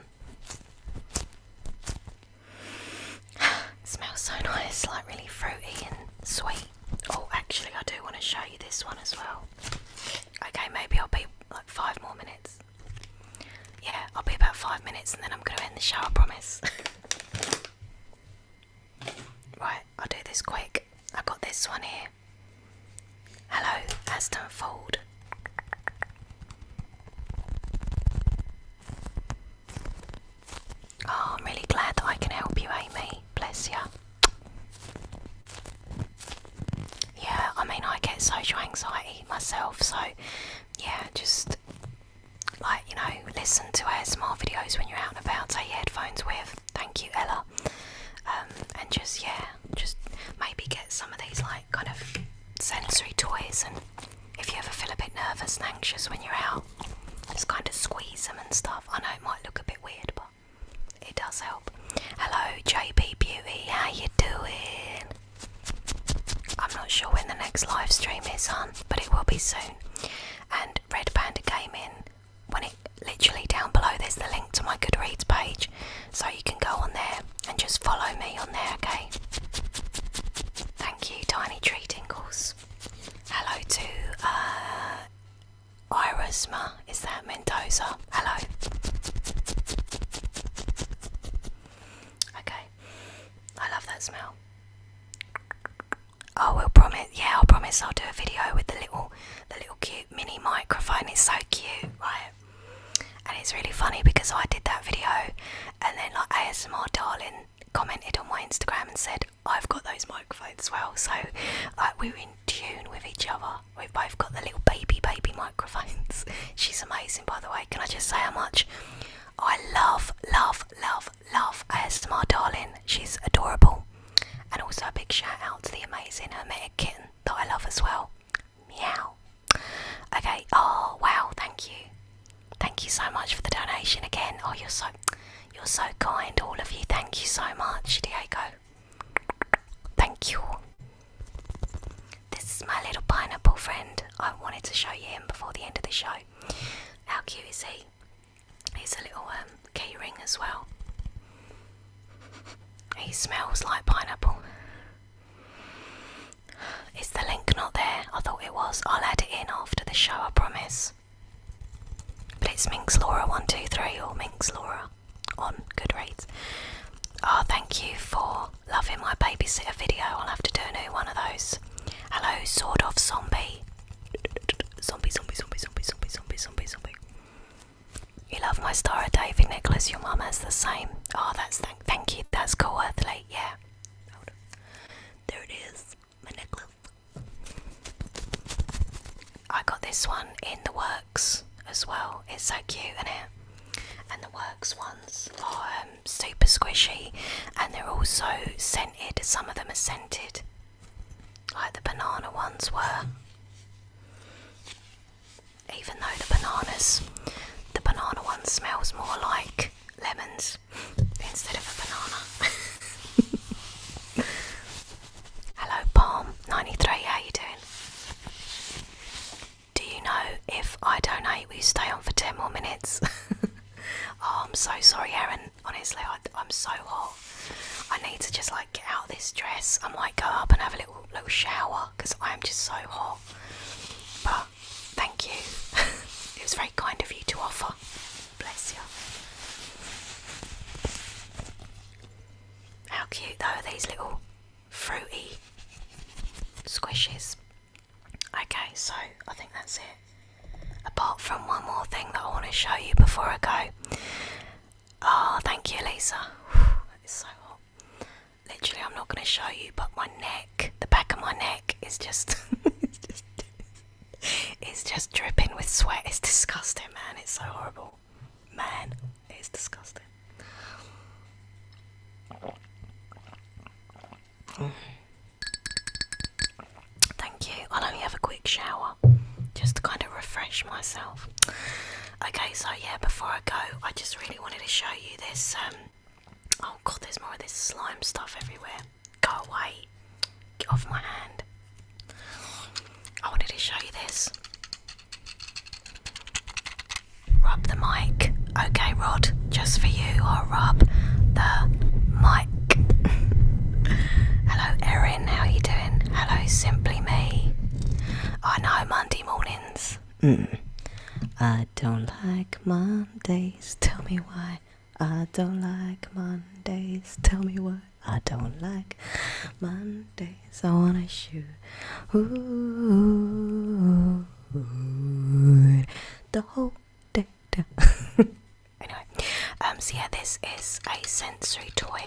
(sighs) it smells so nice, like really fruity and sweet. Oh, actually, I do want to show you this one as well. Okay, maybe I'll be like five more minutes. Yeah, I'll be about five minutes and then I'm going to end the shower. promise. (laughs) right, I'll do this quick. I've got this one here. Hello, Aston Fold. Oh, I'm really glad that I can help you, Amy. Bless you. Yeah, I mean, I get social anxiety myself, so yeah, just like you know, listen to our small videos when you're out and about. Take your headphones with. Thank you, Ella. Um, and just yeah, just maybe get some of these like kind of sensory toys. And if you ever feel a bit nervous and anxious when you're out, just kind of squeeze them and stuff. I know it might look a bit weird, but it does help. Hello, JB Beauty. How you doing? I'm not sure when the next live stream is on, but it will be soon. And Red Panda came in when it literally down below, there's the link to my Goodreads page, so you can go on there and just follow me on there, okay? Thank you, Tiny Tree Tinkles. Hello to uh, Irisma. is that Mendoza? Hello. Okay, I love that smell. Oh, we'll promise. Yeah, I'll promise I'll do a video with the little, the little cute mini microphone. It's so cute, right? And it's really funny because I did that video, and then like ASMR darling commented on my Instagram and said I've got those microphones as well. So like we are in tune with each other. We've both got the little baby baby microphones. (laughs) She's amazing, by the way. Can I just say how much Oh, I love, love, love, love ASMR darling. She's adorable. And also a big shout out to the amazing hermetic kitten that I love as well. Meow. Okay, oh wow, thank you. Thank you so much for the donation again. Oh you're so you're so kind, all of you. Thank you so much, Diego. Thank you. This is my little pineapple friend. I wanted to show you him before the end of the show. How cute is he? He's a little um, key ring as well. He smells like pineapple. Is the link not there? I thought it was. I'll add it in after the show, I promise. But it's Minx Laura 123 or Minx Laura on Goodreads. Oh, ah, thank you for loving my babysitter video. I'll have to do a new one of those. Hello, sort of zombie. Zombie, zombie, zombie, zombie, zombie, zombie, zombie, zombie. You love my Star of David necklace. Your mum has the same. Oh, that's th thank you. That's cool, Earthly. Yeah. Hold on. There it is. My necklace. I got this one in the works as well. It's so cute, isn't it? And the works one are um, super squishy and they're also scented. Some of them are scented, like the banana ones were. Even though the bananas, the banana one smells more like lemons (laughs) instead of a banana. (laughs) Hello, Palm 93, how you doing? Do you know if I donate, we stay on for 10 more minutes? (laughs) oh, I'm so sorry, Erin. Honestly, I, I'm so hot. I need to just like get out of this dress. I might go up and have a little little shower because I am just so hot. But thank you. (laughs) it was very kind of you to offer. Bless you. How cute though are these little fruity squishes. Okay, so I think that's it. Apart from one more thing that I want to show you before I go. Oh, thank you, Lisa. It's so hot. Literally, I'm not going to show you, but my neck, the back of my neck, is just, (laughs) it's just, just dripping with sweat. It's disgusting, man. It's so horrible, man. It's disgusting. (sighs) Thank you. I'll only have a quick shower just to kind of refresh myself. Okay, so yeah, before I go, I just really wanted to show you this. Um, oh god, there's more of this slime stuff everywhere. Go away. Get off my hand. I wanted to show you this. Rub the mic. Okay, Rod, just for you, or will rub the mic. (laughs) Hello, Erin, how are you doing? Hello, Simply Me. I know, Monday mornings. Mm. I don't like Mondays, tell me why. I don't like Mondays, tell me why. I don't like Mondays, I wanna shoot. Ooh, the whole (laughs) anyway, um, so yeah, this is a sensory toy,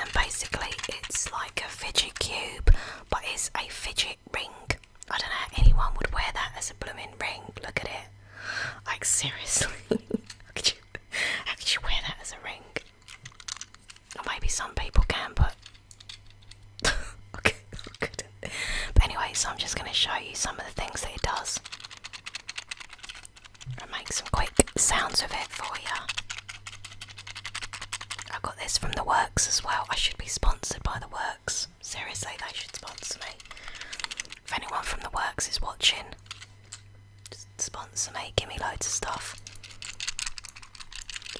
and basically it's like a fidget cube, but it's a fidget ring. I don't know how anyone would wear that as a bloomin' ring. Look at it. Like seriously, (laughs) how could you, how could you wear that as a ring? maybe some people can, but (laughs) (laughs) Oh, but anyway, so I'm just going to show you some of the things that it does. i make some quick sounds of it for you. I got this from the Works as well. I should be sponsored by the Works. Seriously, they should sponsor me. If anyone from the Works is watching, just sponsor me, give me loads of stuff.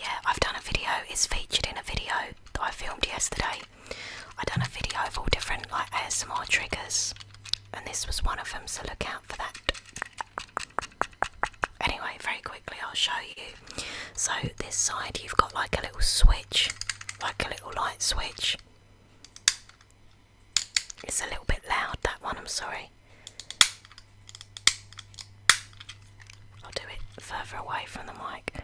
Yeah, I've done a video, it's featured in a video that I filmed yesterday. I have done a video of all different like ASMR triggers, and this was one of them, so look out for that. Anyway, very quickly I'll show you. So this side you've got like a little switch, like a little light switch. It's a little bit loud that one, I'm sorry. I'll do it further away from the mic.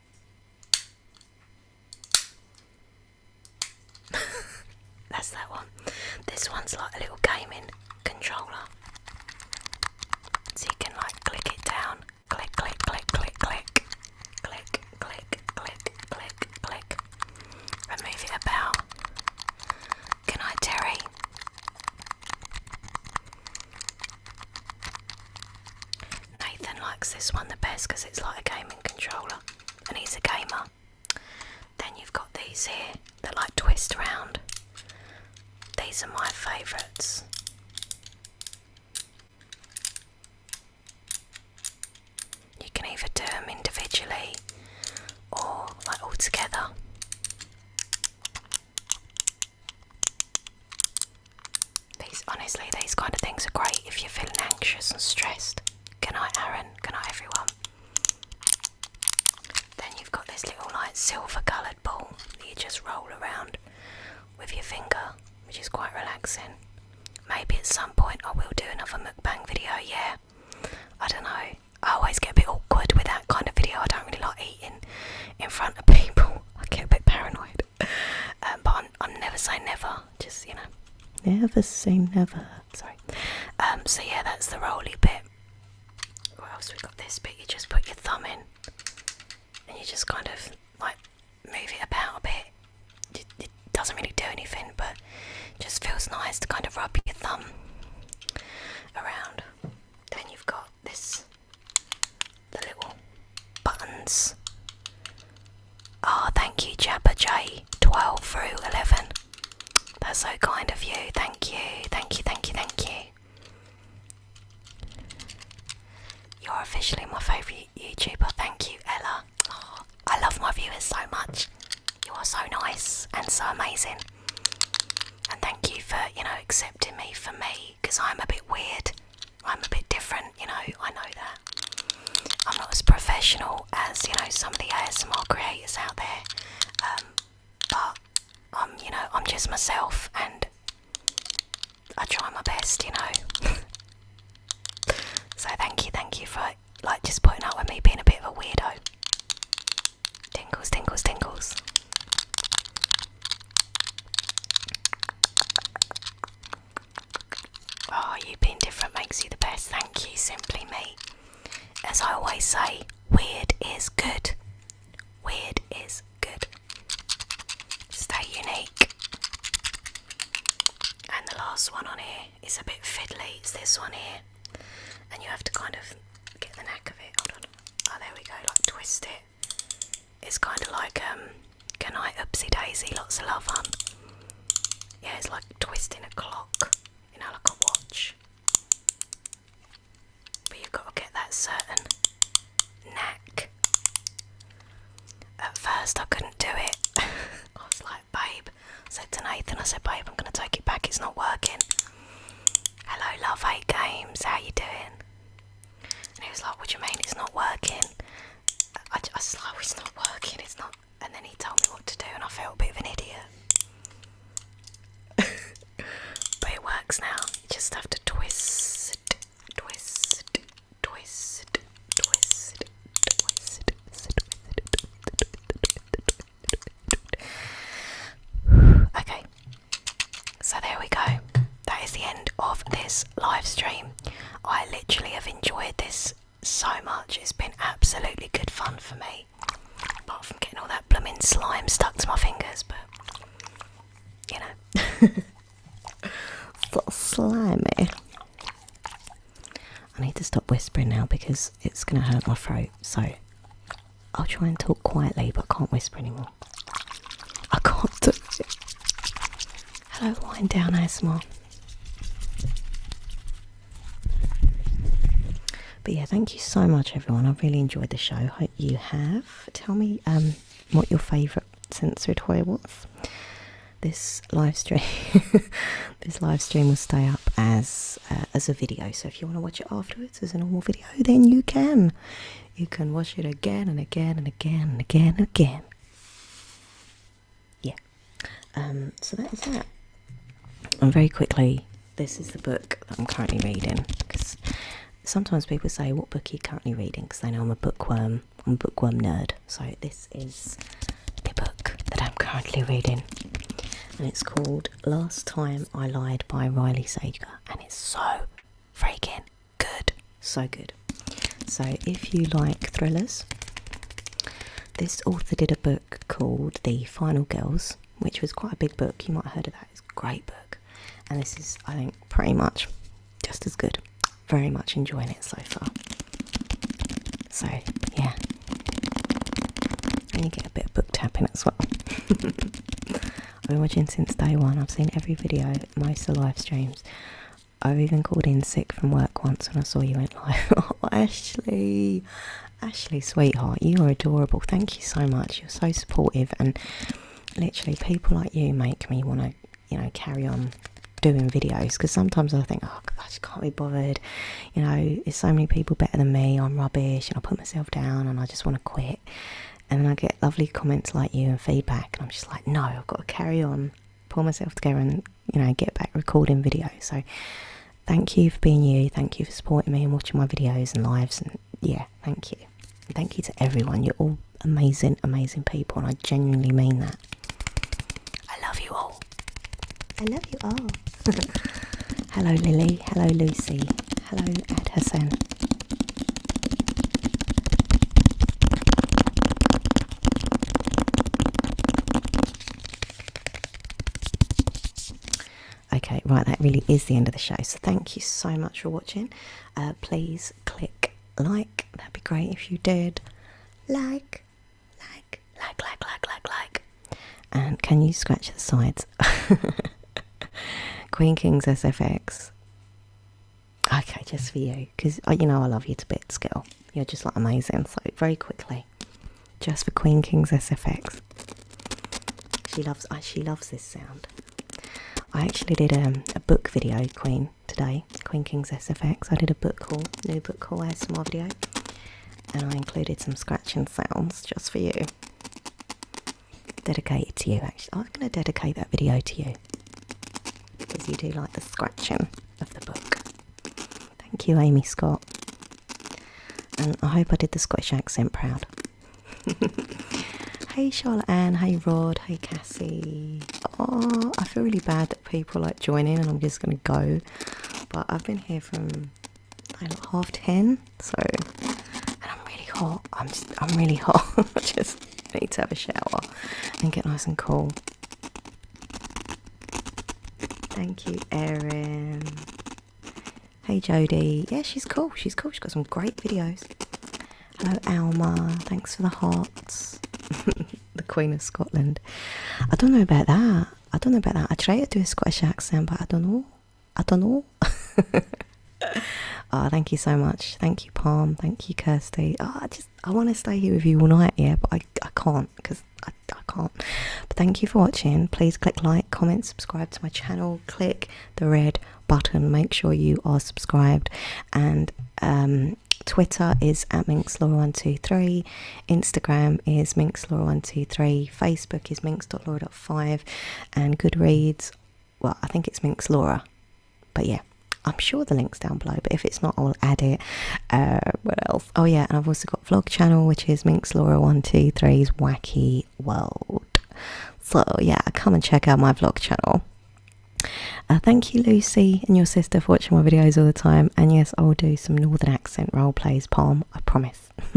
(laughs) That's that one. This one's like a little gaming controller. So you can like click it down. Click, click, click, click, click. Click, click, click, click, click. Remove it about. Good night, Terry. Nathan likes this one the best because it's like a gaming controller and he's a gamer. Then you've got these here that like twist around. These are my favourites. You can either do them individually or like all together. These honestly, these kind of things are great if you're feeling anxious and stressed. Good night, Aaron. Good night, everyone. Then you've got this little like silver coloured ball that you just roll around with your finger, which is quite relaxing. Maybe at some point I will do another mukbang video. Yeah, I don't know. I always get a bit awkward with that kind of video. I don't really like eating in front of people. I get a bit paranoid. Um, but I'm, never say never. Just you know, never say never. Sorry. Um, so yeah, that's the roly bit. What else we got? This bit you just put your thumb in, and you just kind of like move it about a bit. It, doesn't really do anything, but just feels nice to kind of rub your thumb around. Then you've got this the little buttons. Ah, thank you, Jabba J. 12 through 11. That's so kind of you. Thank you, thank you, thank you, thank you. You're officially my favourite YouTuber. Thank you, Ella. Oh, I love my viewers so much. You are so nice and so amazing. And thank you for, you know, accepting me for me because I'm a bit weird. I'm a bit different, you know, I know that. I'm not as professional as, you know, some of the ASMR creators out there. Um, but I'm, you know, I'm just myself and I try my best, you know. (laughs) so thank you, thank you for like just putting up with me being a bit of a weirdo. Tingles, tingles, tingles. Oh, you being different makes you the best. Thank you, Simply Me. As I always say, weird is good. Weird is good. Stay unique. And the last one on here is a bit fiddly. It's this one here. And you have to kind of get the neck of it. Hold on. Oh, there we go. Like, twist it. It's kind of like can um, I upsie daisy, lots of love, huh? Yeah, it's like twisting a clock, you know, like a watch. But you've got to get that certain neck. At first, I couldn't do it. (laughs) I was like, babe. I said to Nathan, I said, babe, I'm going to take it back. It's not working. Hello, love, eight games. How you doing? And he was like, what do you mean it's not working? I, just oh, it's not working, it's not. And then he told me what to do, and I felt a bit of an idiot. (laughs) but it works now. just have to twist, twist, twist, twist, twist. Okay. So there we go that is the end of this live stream. I literally have enjoyed this so much. It's been absolutely good fun for me. Apart from getting all that blooming slime stuck to my fingers, but you know. (laughs) so slimy. I need to stop whispering now because it's going to hurt my throat, so I'll try and talk quietly but can't whisper anymore. I can't do it. Hello, wind down as ASMR. But yeah, thank you so much, everyone. I've really enjoyed the show. Hope you have. Tell me um, what your favourite sensory toy was. This live stream, (laughs) this live stream will stay up as uh, as a video. So if you want to watch it afterwards as a normal video, then you can. You can watch it again and again and again and again and again yeah um, so that's that and very quickly this is the book that i'm currently reading because sometimes people say what book are you currently reading because I know i'm a bookworm i'm a bookworm nerd so this is the book that i'm currently reading and it's called last time i lied by riley sager and it's so freaking good, so good. So, if you like thrillers, this author did a book called The Final Girls, which was quite a big book. You might have heard of that. It's a great book, and this is, I think, pretty much just as good. Very much enjoying it so far. So, yeah, and you get a bit of book tapping as well. (laughs) I've been watching since day one. I've seen every video, most of the live streams. I've even called in sick from work once when I saw you went live. (laughs) Oh, Ashley, Ashley, sweetheart, you are adorable. Thank you so much. You're so supportive, and literally, people like you make me want to, you know, carry on doing videos because sometimes I think, oh, I just can't be bothered. You know, there's so many people better than me. I'm rubbish, and I put myself down, and I just want to quit. And then I get lovely comments like you and feedback, and I'm just like, no, I've got to carry on pull myself together and you know get back recording videos. So thank you for being you. Thank you for supporting me and watching my videos and lives. And yeah, thank you. thank you to everyone. You're all amazing, amazing people, and I genuinely mean that. I love you all. I love you all. (laughs) Hello, Lily. Hello, Lucy. Hello, Ed Hassan. Okay, right, that really is the end of the show. So, thank you so much for watching. Uh, please click like, that'd be great if you did. Like, like, like, like, like, like, like. And can you scratch the sides? (laughs) Queen Kings SFX. Okay, just for you, because you know I love you to bits, girl. You're just like amazing. So very quickly, just for Queen King's SFX. She loves. she loves this sound. I actually did um, a book video, Queen, today. Queen King's SFX. I did a book haul, new book haul ASMR video, and I included some scratching sounds just for you. Dedicated to you, actually. I'm going to dedicate that video to you because you do like the scratching of the book. Thank you, Amy Scott. And I hope I did the Scottish accent proud. (laughs) hey, Charlotte Anne. Hey, Rod. Hey, Cassie. Oh, I feel really bad that people like join in and I'm just going to go. But I've been here from like half ten, so and I'm really hot. I'm just, I'm really (laughs) hot. I just need to have a shower and get nice and cool. Thank you, Erin. Hey, Jody. Yeah, she's cool. She's cool. She's got some great videos. Hello, Alma. Thanks for the hearts. (laughs) the Queen of Scotland. I don't know about that. I don't know about that. I try to do a Scottish accent, but I don't know. I don't know. (laughs) oh, thank you so much. Thank you, Palm. Thank you, Kirsty. Oh, just I want to stay here with you all night, yeah, but I I can't because I I can't. But thank you for watching. Please click like, comment, subscribe to my channel. Click the red button. Make sure you are subscribed. And um, Twitter is at minxlaura123. Instagram is minxlaura123. Facebook is MinksLaura5. And Goodreads, well, I think it's minxlaura. But yeah, I'm sure the link's down below, but if it's not, I'll add it. Uh, what else? Oh yeah, and I've also got vlog channel, which is Minx Laura One Two Three's Wacky World. So yeah, come and check out my vlog channel. Uh, thank you, Lucy and your sister, for watching my videos all the time. And yes, I'll do some Northern accent role plays, Palm. I promise. (laughs)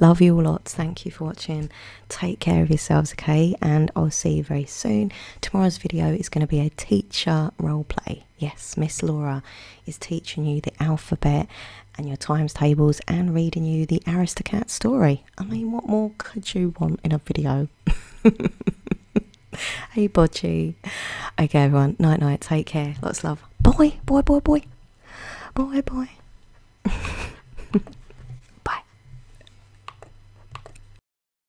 Love you all lots. Thank you for watching. Take care of yourselves, okay? And I'll see you very soon. Tomorrow's video is going to be a teacher role play. Yes, Miss Laura is teaching you the alphabet and your times tables and reading you the Aristocat story. I mean, what more could you want in a video? (laughs) hey, Bodgy. Okay, everyone, night night. Take care. Lots of love. Boy, boy, boy, boy. Boy, boy. (laughs) Bye.